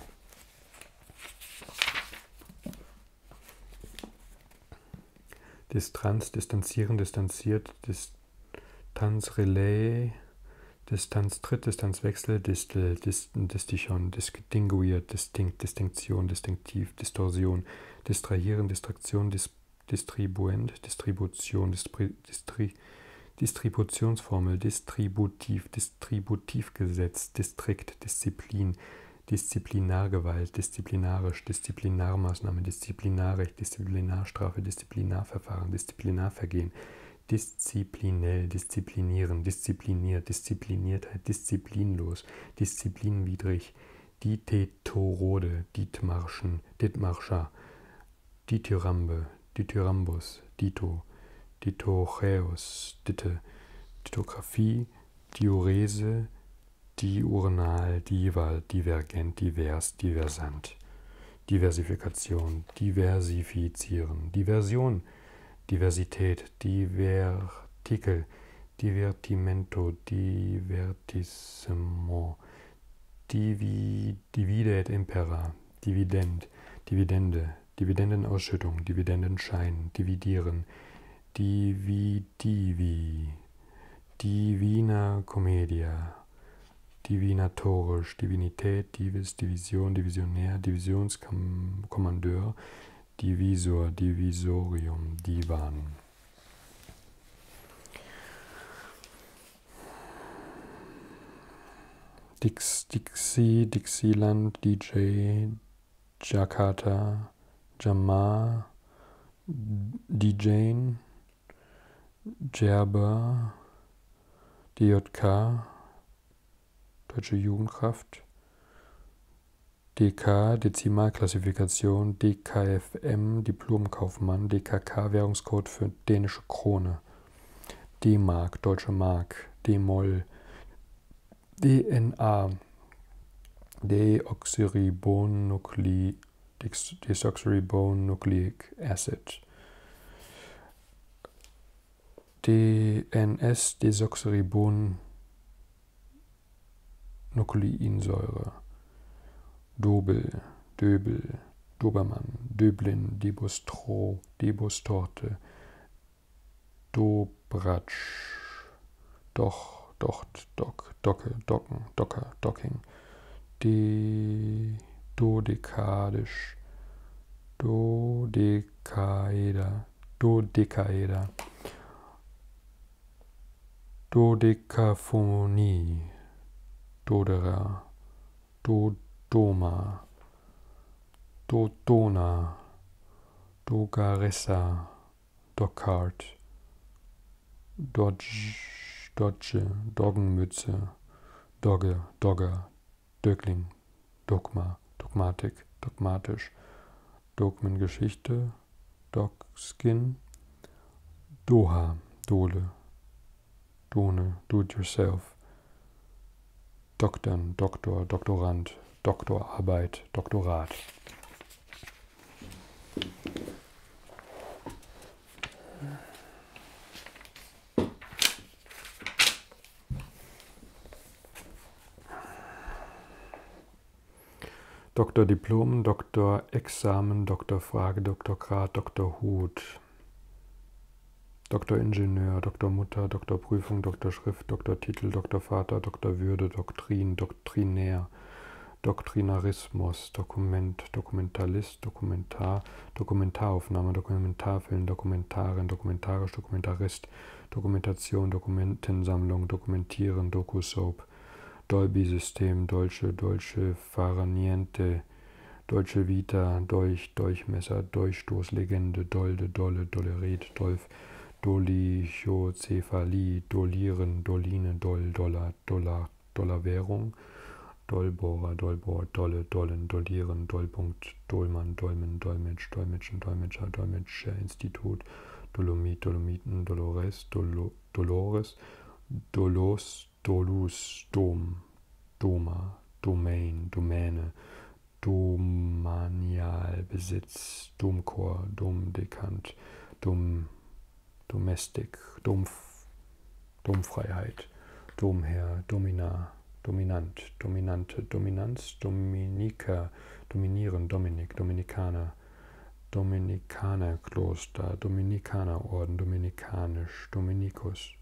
Distanz, distanzieren, distanziert, Distanz, Relais, Distanz, Trittdistanzwechsel, Distel, äh, Dist Distichon, Distinguiert, Distinkt, Distinktion, Distinktiv, Distorsion, Distrahieren, Distraktion, Dis Distribuent, Distribution, Dispri Distri Distributionsformel, Distributiv, Distributivgesetz, Distrikt, Disziplin, Disziplinargewalt, disziplinarisch, Disziplinarmaßnahme, disziplinarisch, Disziplinarstrafe, Disziplinarverfahren, Disziplinarvergehen, disziplinell, disziplinieren, diszipliniert, Diszipliniertheit, disziplinlos, disziplinwidrig, Ditetorode, Dietmarschen, Dietmarscher, Dithyrambel, Dithyrambus, Dito, Ditocheus, Ditte, Ditographie, Diurese, Diurnal, Dival, Divergent, Divers, Diversant. Diversifikation, Diversifizieren, Diversion, Diversität, Divertikel, Divertimento, Divertissement, Divi, Dividet impera, Dividend, Dividende, Dividendenausschüttung, Dividendenschein, Dividieren, Dividivi, Divina Commedia, divinatorisch, Divinität, Divis, Division, Divisionär, Divisionskommandeur, Divisor, Divisorium, Divan. Dix, Dixie, Dixieland, DJ, Jakarta, Jamar, DJ, Gerber, DJK, Deutsche Jugendkraft, DK, Dezimalklassifikation, DKFM, Diplomkaufmann, DKK, Währungscode für dänische Krone, D-Mark, Deutsche Mark, D-Moll, DNA, Deoxyribonucleic, Desoxyribonucleic Acid, DNS-Desoxyribonukleinsäure, Dobel, Döbel, Dobermann, Döblin, Debustro, Debustorte, Dobratsch, Doch, Docht, Dock, Docke, Docken, Docker, Docking, De, Dodekadisch, Dodekaeder. Dodekaeder. Dodekaphonie. Dodera. Dodoma. Dodona. Dogaressa. Dockart. Dodge. Dodge. Doggenmütze. Dogge. Dogger. Dögling, Dogma, Dogmatik, Dogmatisch, Dogmengeschichte, Dogskin, Doha, Dole, Done, Do It Yourself, Doktern, Doktor, Doktorand, Doktorarbeit, Doktorat. Doktordiplom, Doktorexamen, Doktorfrage, Doktorgrad, Doktorhut, Doktoringenieur, Doktormutter, Doktorprüfung, Doktorschrift, Doktortitel, Doktorvater, Doktorwürde, Doktrin, Doktrinär, Doktrinarismus, Dokument, Dokumentalist, ist Dokumentar, Dokumentaraufnahme, Dokumentarfilm, Dokumentarin, Dokumentarisch, Dokumentarist, Dokumentation, Dokumentensammlung, Dokumentieren, Doku-Soap, Dolby-System, Dolce, Dolce, Faraniente, Deutsche Vita, Dolch, Dolchmesser, Dolchstoßlegende, Dolde, Dolle, Dolleret, Dolf, Dolichozephalie, Dolieren, Doline, Doll, Dollar, Dollar, Dollarwährung, Dollbohrer, Dollbohr, Dolle, Dollen, Dollieren, Dollpunkt, Dollmann, Dolmen, Dolmetsch, Dolmetschen, Dolmetscher, Dolmetscher, Institut, Dolomit, Dolomiten, Dolores, Dolo, Dolores, Dolos, Dolus, Dom, Doma, Domain, Domäne, Domanialbesitz, Domchor, Domdekant, Dom, Domestic, Domf, Domfreiheit, Domherr, Domina, Dominant, Dominante, Dominanz, Dominiker, Dominieren, Dominik, Dominikaner, Dominikanerkloster, Dominikanerorden, Dominikanisch, Dominikus,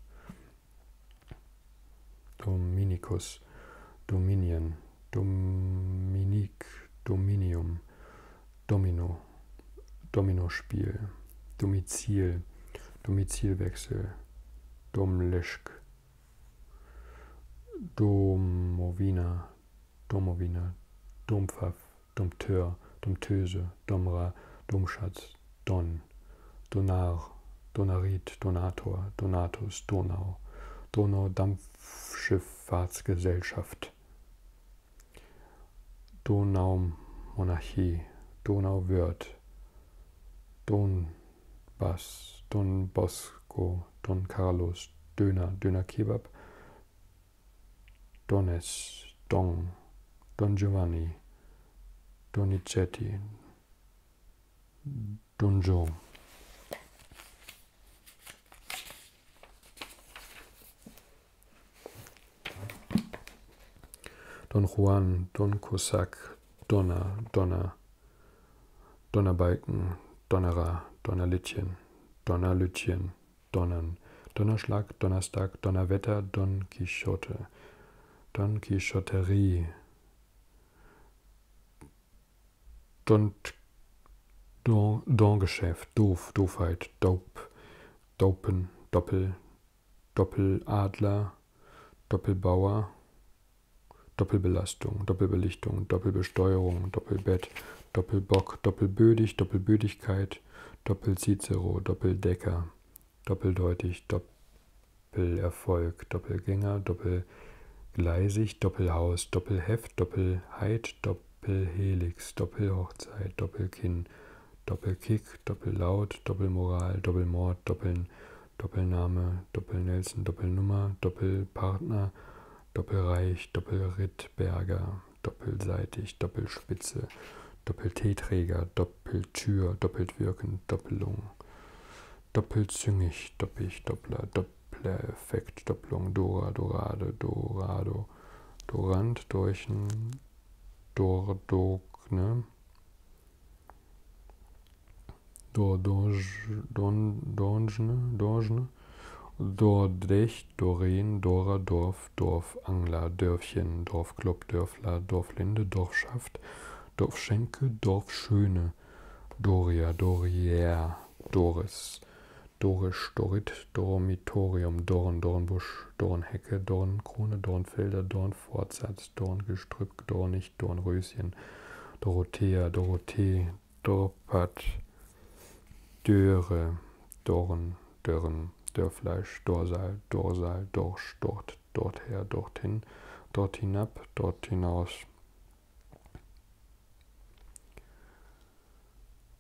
Dominikus, Dominien, Dominik, Dominium, Domino, Dominospiel, Domizil, Domizilwechsel, Domleschg, Domovina, Domovina, Dompfaff, Dompteur, Domtöse, Domra, Domschatz, Don, Donar, Donarit, Donator, Donatus, Donau, Donau-Dampfschifffahrtsgesellschaft, Donaumonarchie, Donauwörth, Don Bas, Don Bosco, Don Carlos, Döner, Döner Kebab, Dones, Don, Don Giovanni, Donizetti, Don Joe. Don Juan, Don Cossack, Donner, Donner, Donnerbalken, Donnerer, Donnerlittchen, Donnerlütchen, Donnern, Donnerschlag, Donnerstag, Donnerwetter, Don Quixote, Don Quixoterie, Don, Don, Don Geschäft, Doof, Doofheit, Dope, Dopen, Doppel, Doppeladler, Doppelbauer, Doppelbelastung, Doppelbelichtung, Doppelbesteuerung, Doppelbett, Doppelbock, Doppelbödig, Doppelbödigkeit, Doppelcicero, Doppeldecker, Doppeldeutig, Doppelerfolg, Doppelgänger, Doppelgleisig, Doppelhaus, Doppelheft, Doppelheit, Doppelhelix, Doppelhochzeit, Doppelkinn, Doppelkick, Doppellaut, Doppelmoral, Doppelmord, Doppeln, Doppelname, Doppelnelson, Doppelnummer, Doppelpartner, Doppelreich, Doppelrittberger, Doppelseitig, Doppelspitze, Doppelteeträger, Doppeltür, doppelt wirken, Doppelung, doppelzüngig, doppig, Doppler, Doppler-Effekt, Doppelung, Dora, Dorade, Dorado, Dorant, Dorchen, Dordogne, do Dorje, Don, Dorjne, Dorjne, Dordrech, Doreen, Dora, Dorf, Dorfangler, Dörfchen, Dorfclub, Dörfler, Dorflinde, Dorfschaft, Dorfschenke, Dorfschöne, Doria, Dorier, Doris, Dorisch, Dorit, Dormitorium, Dorn, Dornbusch, Dornhecke, Dornkrone, Dornfelder, Dornfortsatz, Dorngestrüpp, Dornig, Dornenmilch, Dornröschen, Dorothea, Dorothee, Dorpat, Döre, Dorn, Dörren, Dörrfleisch, Dorsal, Dorsal, Dorsch, Dort, Dorther, Dorthin, Dort hinab, Dort hinaus,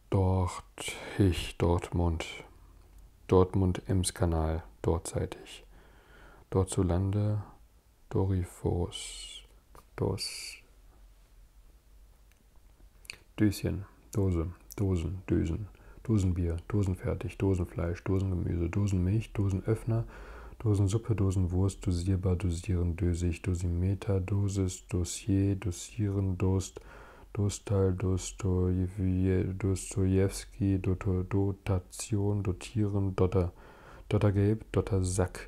Dort, ich, Dortmund, Dortmund, Emskanal, dortseitig. Dort zu Lande Doriphos, Dos, Döschen, Dose, Dosen, Dösen, Dosenbier, Dosenfertig, Dosenfleisch, Dosengemüse, Dosenmilch, Dosenöffner, Dosensuppe, Dosenwurst, dosierbar, dosieren, dösig, Dosimeter, Dosis, Dossier, dosieren, Dost, Dostal, Dostojewski, Dotat, Dotation, Dotieren, Dotter, Dottergelb, Dottersack,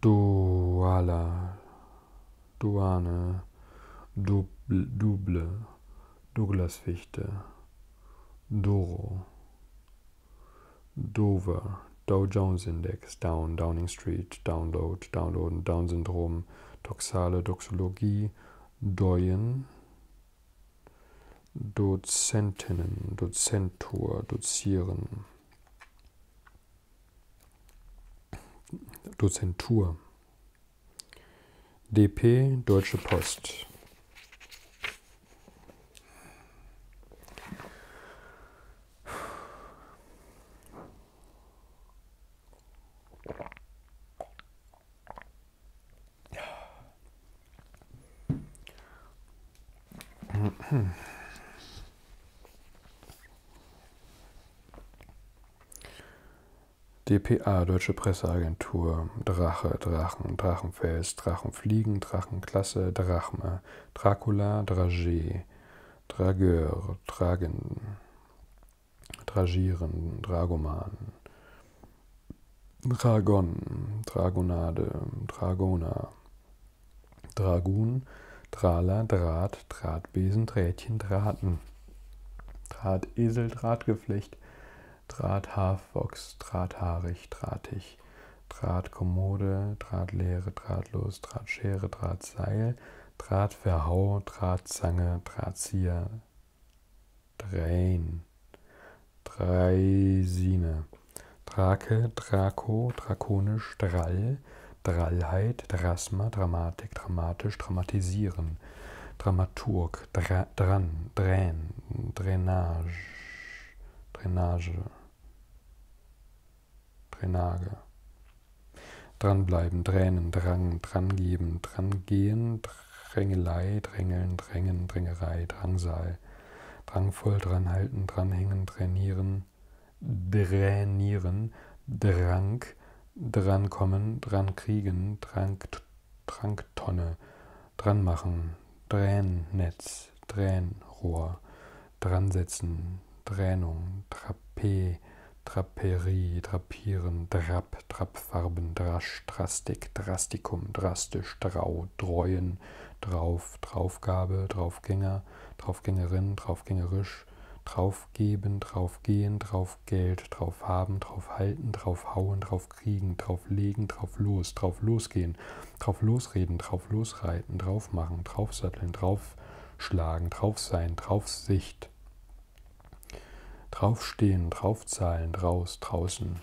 Duala, Duane, Duble, Double, Douglasfichte, Doro, Dover, Dow Jones Index, Down, Downing Street, Download, Downloaden, Down-Syndrom, Doxale, Doxologie, Doyen, Dozentinnen, Dozentur, Dozieren. Dozentur. DP Deutsche Post. DPA, Deutsche Presseagentur, Drache, Drachen, Drachenfels, Drachenfliegen, Drachenklasse, Drachme, Dracula, Dragé, Drageur, Dragen, Dragieren, Dragoman, Dragon, Dragonade, Dragona, Dragun, Drala, Draht, Drahtbesen, Drähtchen, Drahten, Drahtesel, Drahtgeflecht, Drahthaarfox, Drahthaarig, Drahtig, Drahtkommode, Drahtleere, Drahtlos, Drahtschere, Drahtseil, Drahtverhau, Drahtzange, Drahtzieher, Drain. Dreisine. Drake, Draco, Drakonisch, Drall, Drallheit, Drasma, Dramatik, Dramatisch, Dramatisieren. Dramaturg, Dra Dran, Drän, Drainage, Drainage, Drainage. Dranbleiben, Dränen, Drang, Drangeben, Drangehen, Drängelei, Drängeln, Drängen, Drängerei, Drangsal, Drangvoll, Dranhalten, Dranhängen, Trainieren, Dränieren, Drang, Drankommen, Drankriegen, Drank, Tranktonne, Dranmachen, Drännetz, Dränrohr, Dransetzen, Dränung, Trapé, Draperie, Drapieren, Drap, Drab, Trabfarben, Drasch, Drastik, Drastikum, Drastisch, Drau, Dreuen, Drauf, Draufgabe, Draufgänger, Draufgängerin, Draufgängerisch, Draufgeben, Draufgehen, Draufgeld, Draufhaben, Draufhalten, Draufhauen, Draufkriegen, Drauflegen, Drauflos, Drauflosgehen, Drauflosreden, Drauflosreiten, Draufmachen, Draufsatteln, Draufschlagen, Draufsein, Draufsicht, Draufstehen, Draufzahlen, Draus, Draußen.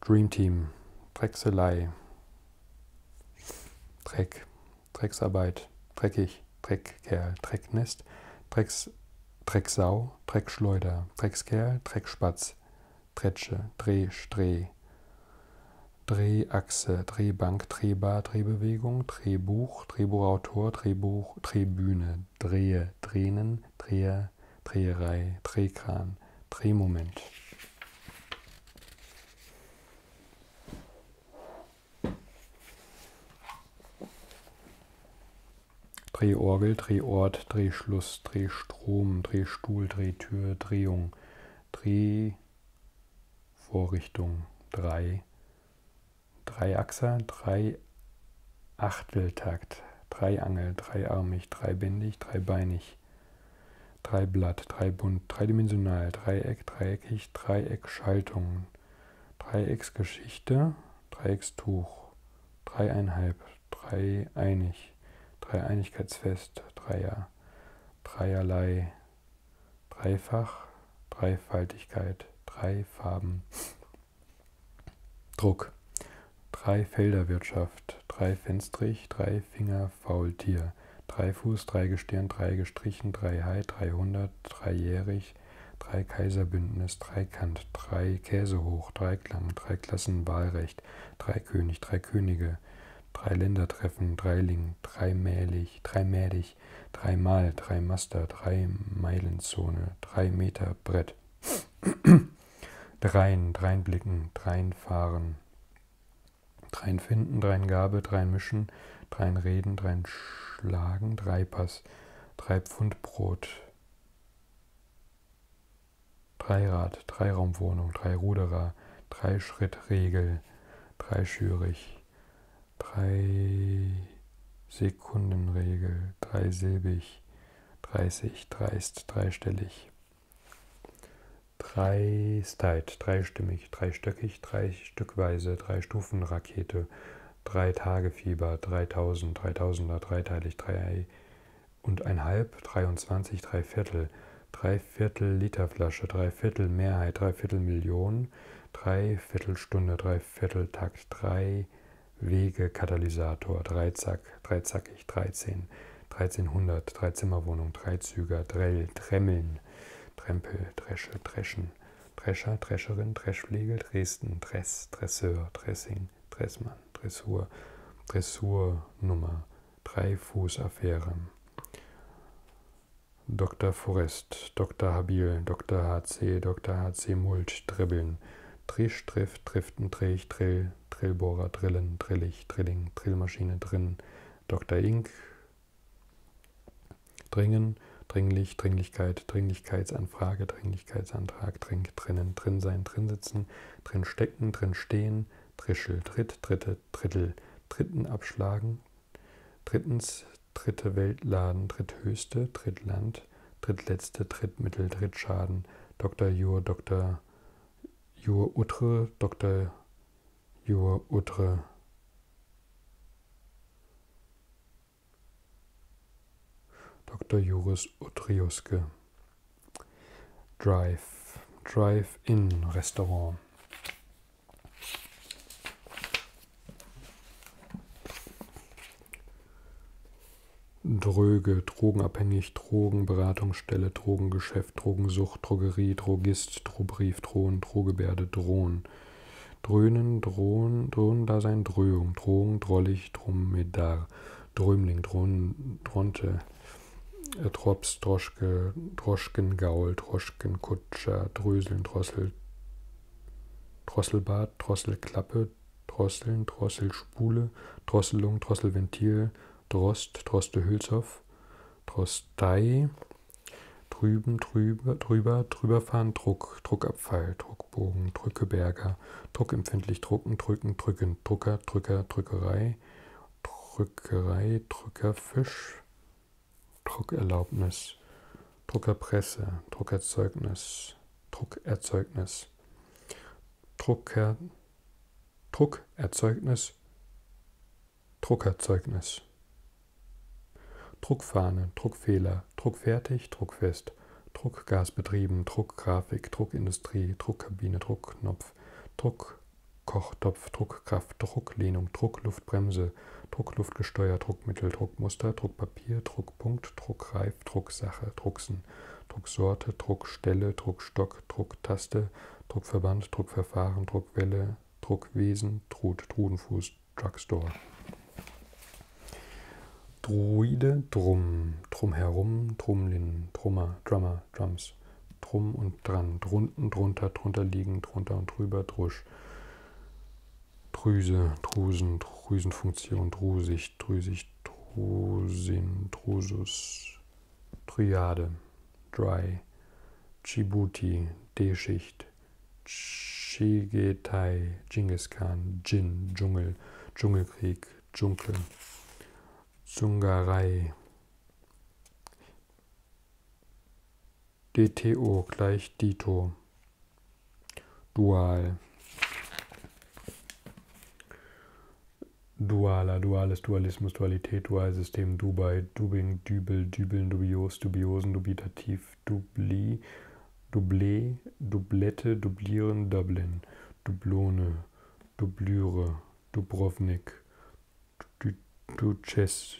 Dream Team, Drechselei, Dreck, Drecksarbeit, Dreckig, Dreckkerl, Drecknest, Drecks, Drecksau, Dreckschleuder, Dreckskerl, Dreckspatz, Dretsche, Dreh, Streh, Drehachse, Drehbank, Drehbar, Drehbewegung, Drehbuch, Drehbuch, Drehbuchautor, Drehbuch, Drehbühne, Drehe, Tränen, Dreher, Dreherei, Drehkran, Drehmoment. Drehorgel, Drehort, Drehschluss, Drehstrom, Drehstuhl, Drehtür, Drehung, Drehvorrichtung, Drei, Dreiachser, drei Achteltakt, Dreiangel, dreiarmig, dreibändig, dreibeinig, dreiblatt, dreibunt, dreidimensional, Dreieck, dreieckig, Dreieckschaltung, Dreiecksgeschichte, Dreieckstuch, dreieinhalb, dreieinig, Dreieinigkeitsfest, Dreier, Dreierlei, dreifach, Dreifaltigkeit, drei Farben, Druck, drei Felderwirtschaft, drei Fenstrich, drei Finger, Faultier, drei Fuß, drei Gestirn, drei gestrichen, drei Hai, 300, dreijährig, drei Kaiserbündnis, drei Kant, drei Käse hoch, drei Klang, drei Klassen Wahlrecht, drei König, drei Könige, drei Ländertreffen, drei Ling, drei Mählig, drei 30, 3 mal 3 Master, 3 Meilenzone, 3 Meter Brett, [CLEARS THROAT] dreien, dreien Blicken, dreien Fahren, dreien Finden, dreien Gabe, dreien Mischen, dreien Reden, dreien Schlagen, drei Pass, drei Pfund Brot, Dreirad, Dreiraumwohnung, drei Ruderer, drei Schritt Regel, drei Schürig, drei Sekundenregel, dreisilbig, 30, dreist, dreistellig. Dreistheit, dreistimmig, dreistöckig, dreistückweise, dreistufenrakete, drei Tage Fieber, 3000, 3000er, dreiteilig, drei und einhalb, 23, drei Viertel, drei Viertel Liter Flasche, drei Viertel Mehrheit, drei Viertel Million, Minuten, Dreiviertelstunde, Dreivierteltakt, drei Wege, Katalysator, Dreizack, Dreizackig, 13, 1300, Dreizimmerwohnung, Dreizüger, Drell, Tremmeln, Trempel, Dresche, Dreschen, Drescher, Drescherin, Dreschpflege, Dresden, Dress, Dresseur, Dressing, Dressmann, Dressur, Dressurnummer, Drei-Fuß-Affäre. Dr. Forest, Dr. Habil, Dr. HC, Dr. HC Mulch, Dribbeln, Trisch, Triff, Triften, Dreh, Drill, Drillbohrer, Drillen, Drillig, Drilling, Drillmaschine, Drin, Dr. Ink, Dringen, Dringlich, Dringlichkeit, Dringlichkeitsanfrage, Dringlichkeitsantrag, Drink, Drinnen, Drin sein, Drin sitzen, Drin stecken, Drin stehen, Drischel, Tritt, Dritte, Drittel, Dritten abschlagen, Drittens, dritte Weltladen, dritthöchste, drittland, drittletzte, drittmittel, drittschaden, Dr. Jur, Dr. Jur Utre, Dr. Jur Utre. Dr. Juris Utriuske. Drive, Drive-In-Restaurant. Dröge, drogenabhängig, Drogenberatungsstelle, Drogengeschäft, Drogensucht, Drogerie, Drogist, Drohbrief, Drohen, Drohgebärde, Drohen. Dröhnen, Drohen, Drohendasein, Dröhung, Drohung, Drollig, Dromedar, Drömling, Drohn, Dronte, äh, Drops, Droschke, Droschkengaul, Droschkenkutscher, Dröseln, Drossel, Drosselbad, Drosselklappe, Drosseln, Drosselspule, Drosselung, Drosselventil, Drost, Drostelhülshoff, Drostei, Drüben, drüber, drüber, drüberfahren, Druck, Druckabfall, Druckbogen, Drückeberger, Druckempfindlich, Drucken, Drücken, Drücken, Drucker, Drücker, Drückerei, Drückerei, Drückerfisch, Druckerlaubnis, Druckerpresse, Druckerzeugnis, Druckerzeugnis, Drucker, Druckerzeugnis, Druckerzeugnis, Druckfahne, Druckfehler, Druckfertig, Druckfest, Druckgasbetrieben, Druckgrafik, Druckindustrie, Druckkabine, Druckknopf, Druckkochtopf, Druckkraft, Drucklehnung, Druckluftbremse, Druckluftgesteuer, Druckmittel, Druckmuster, Druckpapier, Druckpunkt, Druckreif, Drucksache, Drucksen, Drucksorte, Druckstelle, Druckstock, Drucktaste, Druckverband, Druckverfahren, Druckwelle, Druckwesen, Trud, Trudenfuß, Drugstore. Druide, Drum, Drumherum, Drumlin, Drummer, Drummer, Drums, Drum und Dran, Drunten, Drunter, Drunter liegen, Drunter und Drüber, Drusch, Drüse, Drusen, Drüsenfunktion, Drusig, Drüsig, Drusin, Drusus, Triade, Dry, Djibouti, D-Schicht, Chigetai, Genghis Khan, Jin, Dschungel, Dschungelkrieg, Dschunkel, Zungarei, DTO gleich Dito. Dual. Dualer, duales Dualismus, Dualität, Dualsystem, Dubai, Dubing, Dübel, Dübeln, Dubios, Dubiosen, Dubitativ, Dubli, Dublé, Dublette, Dublieren, Dublin, Dublone, Dublüre, Dubrovnik, Duches,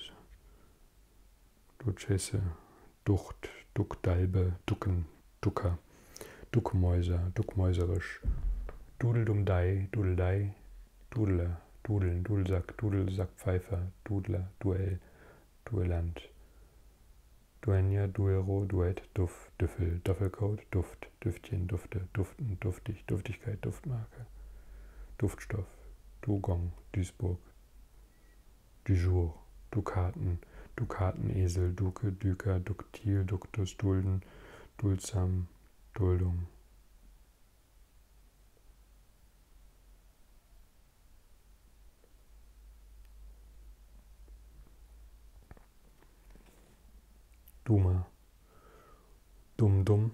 Duchesse, Ducht, Duckdalbe, Ducken, Ducker, Duckmäuser, Duckmäuserisch, Dudeldumdei, Dudeldei, Dudler, Dudeln, Dudelsack, Dudelsackpfeifer, Dudler, Duell, Duellant, Duenja, Duero, Duett, Duft, Düffel, Duffelcoat, Duft, Düftchen, Dufte, Duften, Duftig, Duftigkeit, Duftmarke, Duftstoff, Dugong, Duisburg, du jour, Dukaten, Dukatenesel, Duke, Düker, Duktil, Duktus, Dulden, Duldsam, Duldum. Duma, Dum-Dum,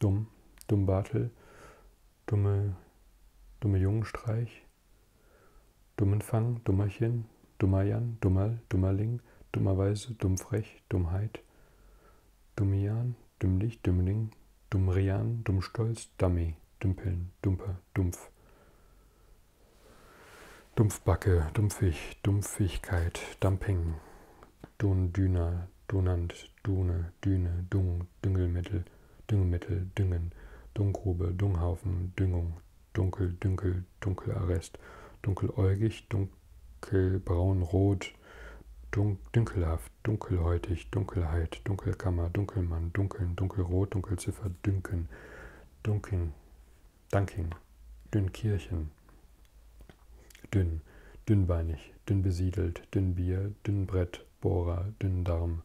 Dumm, Dummbartel, dumme, dumme Jungenstreich, Dummenfang, Dummerchen, Dummerjan, Dummerl, Dummerling, Dummerweise, Dummfrech, Dummheit, Dummian, Dümmlich, Dümmling, Dummrian, Dummstolz, Dummy, e, Dümpeln, Dumper, Dumpf. Dumpfbacke, Dumpfig, Dumpfigkeit, Dumping, Dundüner, Donant, Dune, Düne, Dung, Düngung, Düngelmittel, Düngemittel, Düngen, Dunggrube, Dunghaufen, Düngung, Dunkel, Dünkel, Dunkelarrest, Dunkeläugig, Dunkelbraun, Rot, Dun Dünkelhaft, Dunkelhäutig, Dunkelheit, Dunkelkammer, Dunkelmann, Dunkeln, Dunkelrot, Dunkelziffer, Dünken, Dunking, Dunking, Dünnkirchen, Dünn, dünnbeinig, dünn besiedelt, Dünnbier, Dünnbrett, Bohrer, Dünndarm,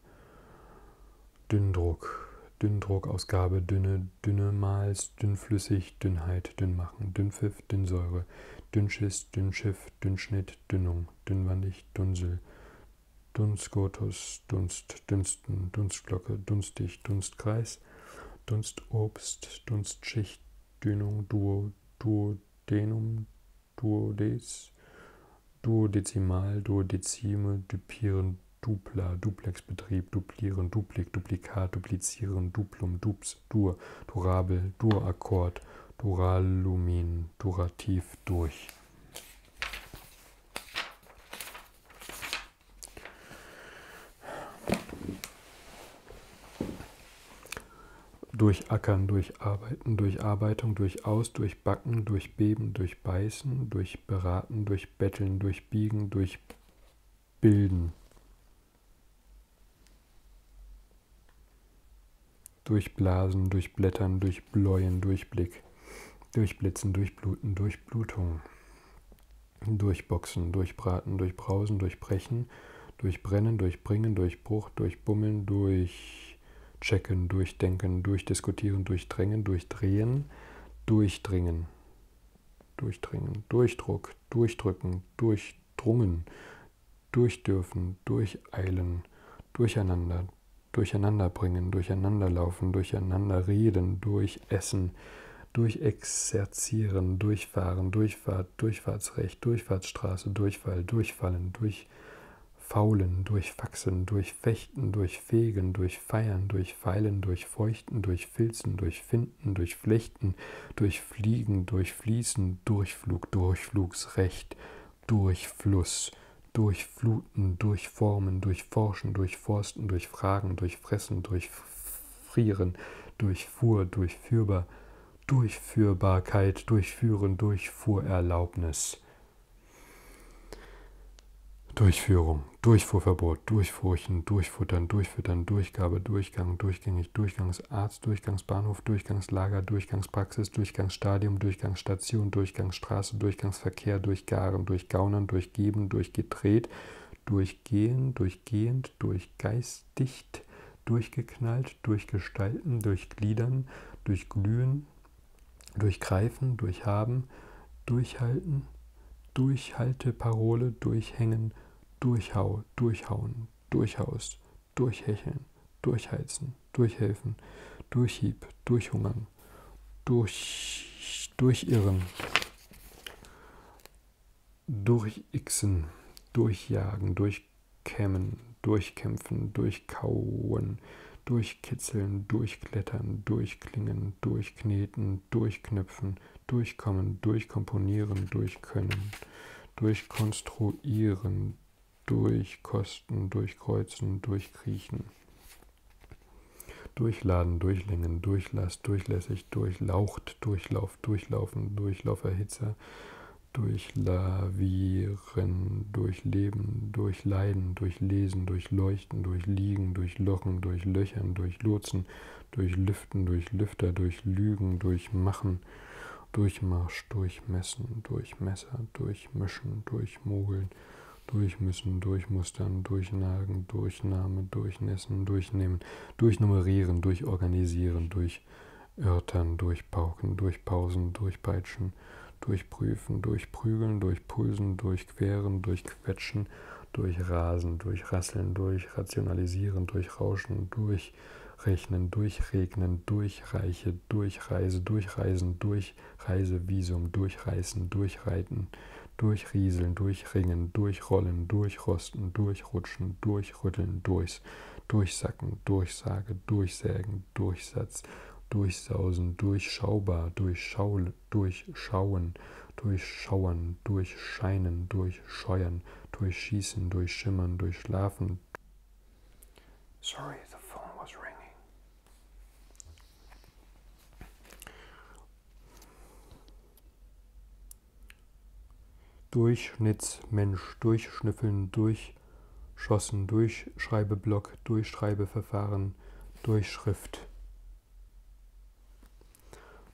Dünndruck, Dünndruckausgabe, dünne, dünne Mals, dünnflüssig, Dünnheit, Dünnmachen, Dünnpfiff, Dünnsäure, Dünnschiss, Dünnschiff, Dünnschnitt, Dünnung, Dünnwandig, Dunsel, Dunstgotus, Dunst, Dünsten, Dunstglocke, Dunstig, Dunstkreis, Dunstobst, Dunstschicht, Dünung, Duo, Duodenum, Duodes, Duodezimal, Duodezime, Dupieren, Dupla, Duplexbetrieb, Duplieren, Duplik, Duplikat, Duplizieren, Duplum, Dups, Dur, Durabel, Durakkord, Duralumin, Durativ, Durch. Durchackern, Durcharbeiten, Durcharbeitung, Durchaus, Durch durch Backen, durch Beben, durch Beißen, durch Beraten, durch Betteln, durch Biegen, durch Bilden. Durchblasen, durchblättern, durchbläuen, durchblick, durchblitzen, durchbluten, durchblutung, durchboxen, durchbraten, durchbrausen, durchbrechen, durchbrennen, durchbringen, durchbruch, durchbummeln, durch durchchecken, durchdenken, durchdiskutieren, durchdrängen, durchdrehen, durchdringen, durchdringen, Durchdruck, durchdrücken, durchdrungen, durchdürfen, durcheilen, durcheinander, durcheinanderbringen, durcheinanderlaufen, durcheinanderreden, durchessen, durchexerzieren, durchfahren, Durchfahrt, Durchfahrtsrecht, Durchfahrtsstraße, Durchfall, durchfallen, durch Faulen, durch Faxen, durch Fechten, durch Fegen, durch Feiern, durch Feilen, durch Feuchten, durch Filzen, durch Finden, durch Flechten, durch Fliegen, durch Fließen, Durchflug, Durchflugsrecht, durch Fluss, durch Fluten, durch Formen, durch Forschen, durch Forsten, durch Fragen, durch Fressen, durch Frieren, durch Fuhr, durch Fürbar, Durchführbarkeit, Durchführen, Durchfuhrerlaubnis. Durchführung, Durchfuhrverbot, Durchfurchen, Durchfuttern, Durchfüttern, Durchgabe, Durchgang, durchgängig, Durchgangsarzt, Durchgangsbahnhof, Durchgangslager, Durchgangspraxis, Durchgangsstadium, Durchgangsstation, Durchgangsstraße, Durchgangsverkehr, Durchgaren, Durchgaunern, Durchgeben, Durchgedreht, Durchgehen, Durchgehend, Durchgeistigt, Durchgeknallt, Durchgestalten, Durchgliedern, Durchglühen, Durchgreifen, durchhaben, durchhalten, Durchhalteparole, durchhängen, durchhau, durchhauen, durchhaust, durchhecheln, durchheizen, durchhelfen, durchhieb, durchhungern, durch, durchirren, durchixen, durchjagen, durchkämmen, durchkämpfen, durchkauen, durchkitzeln, durchklettern, durchklingen, durchkneten, durchknüpfen, durchkommen, durchkomponieren, durchkönnen, durchkonstruieren, durchkosten, durchkreuzen, durchkriechen, durchladen, durchlängen, durchlass, durchlässig, durchlaucht, durchlauf, durchlaufen, durchlauferhitzer, durchlavieren, Durchrennen, durchleben, durchleiden, durchlesen, durchleuchten, durchliegen, durchlochen, durchlöchern, durchlotsen, durchlüften, durchlüfter, durchlügen, durchmachen, Durchmarsch, durchmessen, durchmesser, durchmischen, durchmogeln, durchmüssen, durchmustern, durchnagen, durchnahme, durchnässen, durchnehmen, durchnummerieren, durchorganisieren, durchörtern, durch durchpauken, durchpausen, durchpeitschen, durchprüfen, durchprügeln, durchpulsen, durchqueren, durchquetschen, durchrasen, durchrasseln, durchrationalisieren, durchrauschen, durchrechnen, durchregnen, durchreiche, durchreise, durchreisen, durchreisevisum, durchreißen, durchreiten, durchrieseln, durchringen, durchrollen, durchrosten, durchrutschen, durchrütteln, durchs, durchsacken, durchsage, durchsägen, Durchschauen, Durchsatz, Durchsausen, Durchschaubar, Durchschaul, Durchschauen, Durchschauern, Durchscheinen, Durchscheuern, Durchschießen, Durchschimmern, Durchschlafen. Sorry, the phone was ringing. Durchschnittsmensch, durchschnüffeln, durch schossen Durchschreibeblock, Durchschreibeverfahren, Durchschrift,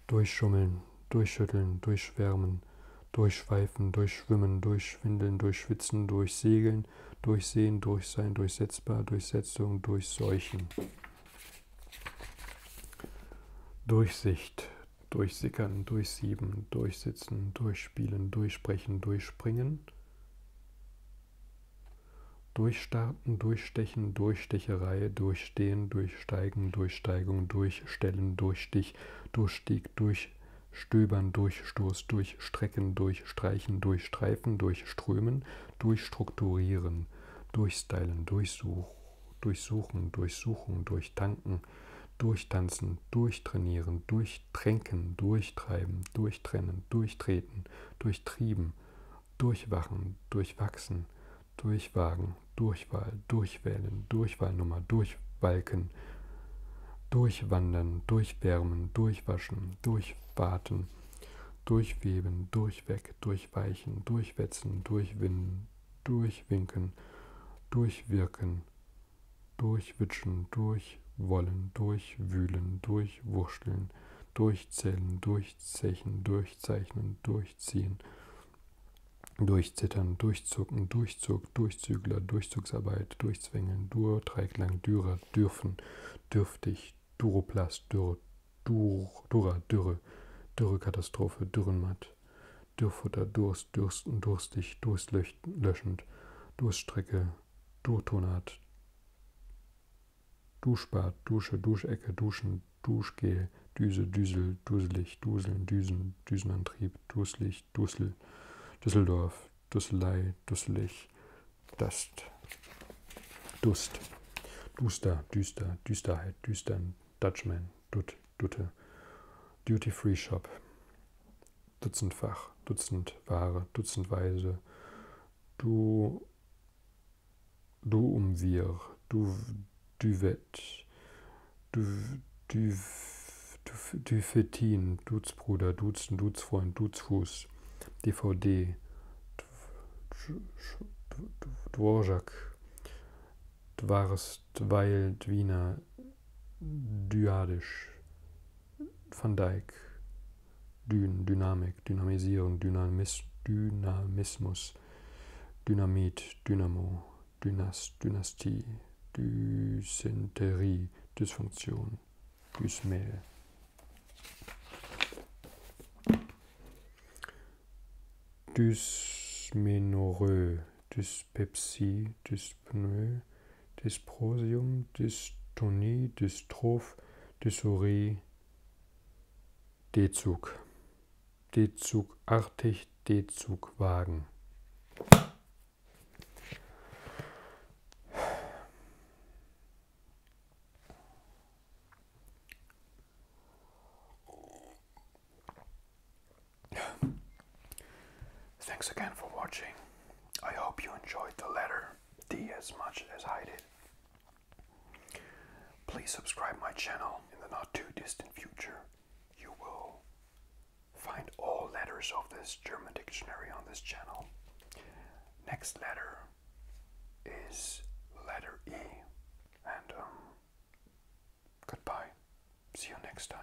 Durchschummeln, Durchschütteln, Durchschwärmen, Durchschweifen, Durchschwimmen, Durchschwindeln, Durchschwitzen, Durchsegeln, Durchsehen, Durchsein, Durchsetzbar, Durchsetzung, Durchseuchen. Durchsicht, Durchsickern, Durchsieben, Durchsitzen, Durchspielen, Durchsprechen, Durchspringen. Durchstarten, durchstechen, Durchstecherei, durchstehen, durchsteigen, Durchsteigung, durchstellen, Durchstich, Durchstieg, Durchstöbern, Durchstoß, Durchstrecken, Durchstreichen, Durchstreifen, Durchströmen, Durchstrukturieren, Durchstylen, Durchsuch, Durchsuchen, Durchsuchen, Durchtanken, Durchtanzen, Durchtrainieren, Durch durchtränken, durchtreiben, durchtrennen, durchtreten, durchtrieben, durchwachen, durchwachsen, durchwagen, Durchwahl, durchwählen, Durchwahlnummer, durchwalken, durchwandern, durchwärmen, durchwaschen, durchwarten, durchweben, durchweg, durchweichen, durchwetzen, durchwinden, durchwinken, durchwirken, durchwitschen, durchwollen, durchwühlen, durchwurschteln, durchzählen, durchzechen, durchzeichnen, durchziehen, durchzittern, durchzucken, Durchzug, Durchzügler, Durchzugsarbeit, durchzwängeln, Dur, Dreiklang, Dürer, dürfen, dürftig, Duroplast, Dürre, Dur, Dura, Dürre, Dürrekatastrophe, Dürrenmatt, Dürrfutter, Durst, Dürsten, Durstig, Durstlöschend, Durststrecke, Durtonat, Duschbad, Dusche, Duschecke, Duschen, Duschgel, Düse, Düsel, Duselig, Duseln, Düsen, Düsenantrieb, Duselig, Dusel, Düsseldorf, Dusselei, Dusselig, Dust, Dust, Duster, Düster, Düsterheit, Düstern, Dutchman, Dut, Dutte, Duty Free Shop, dutzendfach, dutzendware, dutzendweise, du, du um wir, du, duvet, du, du, du, dufetin, Duzbruder, Duzen, Duzfreund, Duzfuß, DVD, Dvorak, Dvarst, Weil, Dwiner, Dyadisch, Van Dijk, Dyn, Dynamik, Dynamisierung, Dynamis, Dynamismus, Dynamit, Dynamo, Dynast, Dynastie, Dysenterie, Dysfunktion, Dysmehl. Dysmenorrhoe, Dyspepsie, Dyspnoe, Dysprosium, Dystonie, Dystroph, Dysurie, D-Zug, D-Zugartig, D-Zugwagen. Thanks again for watching. I hope you enjoyed the letter. D as much as I did. Please subscribe my channel in the not too distant future. You will find all letters of this German dictionary on this channel. Next letter is letter E. And um, goodbye. See you next time.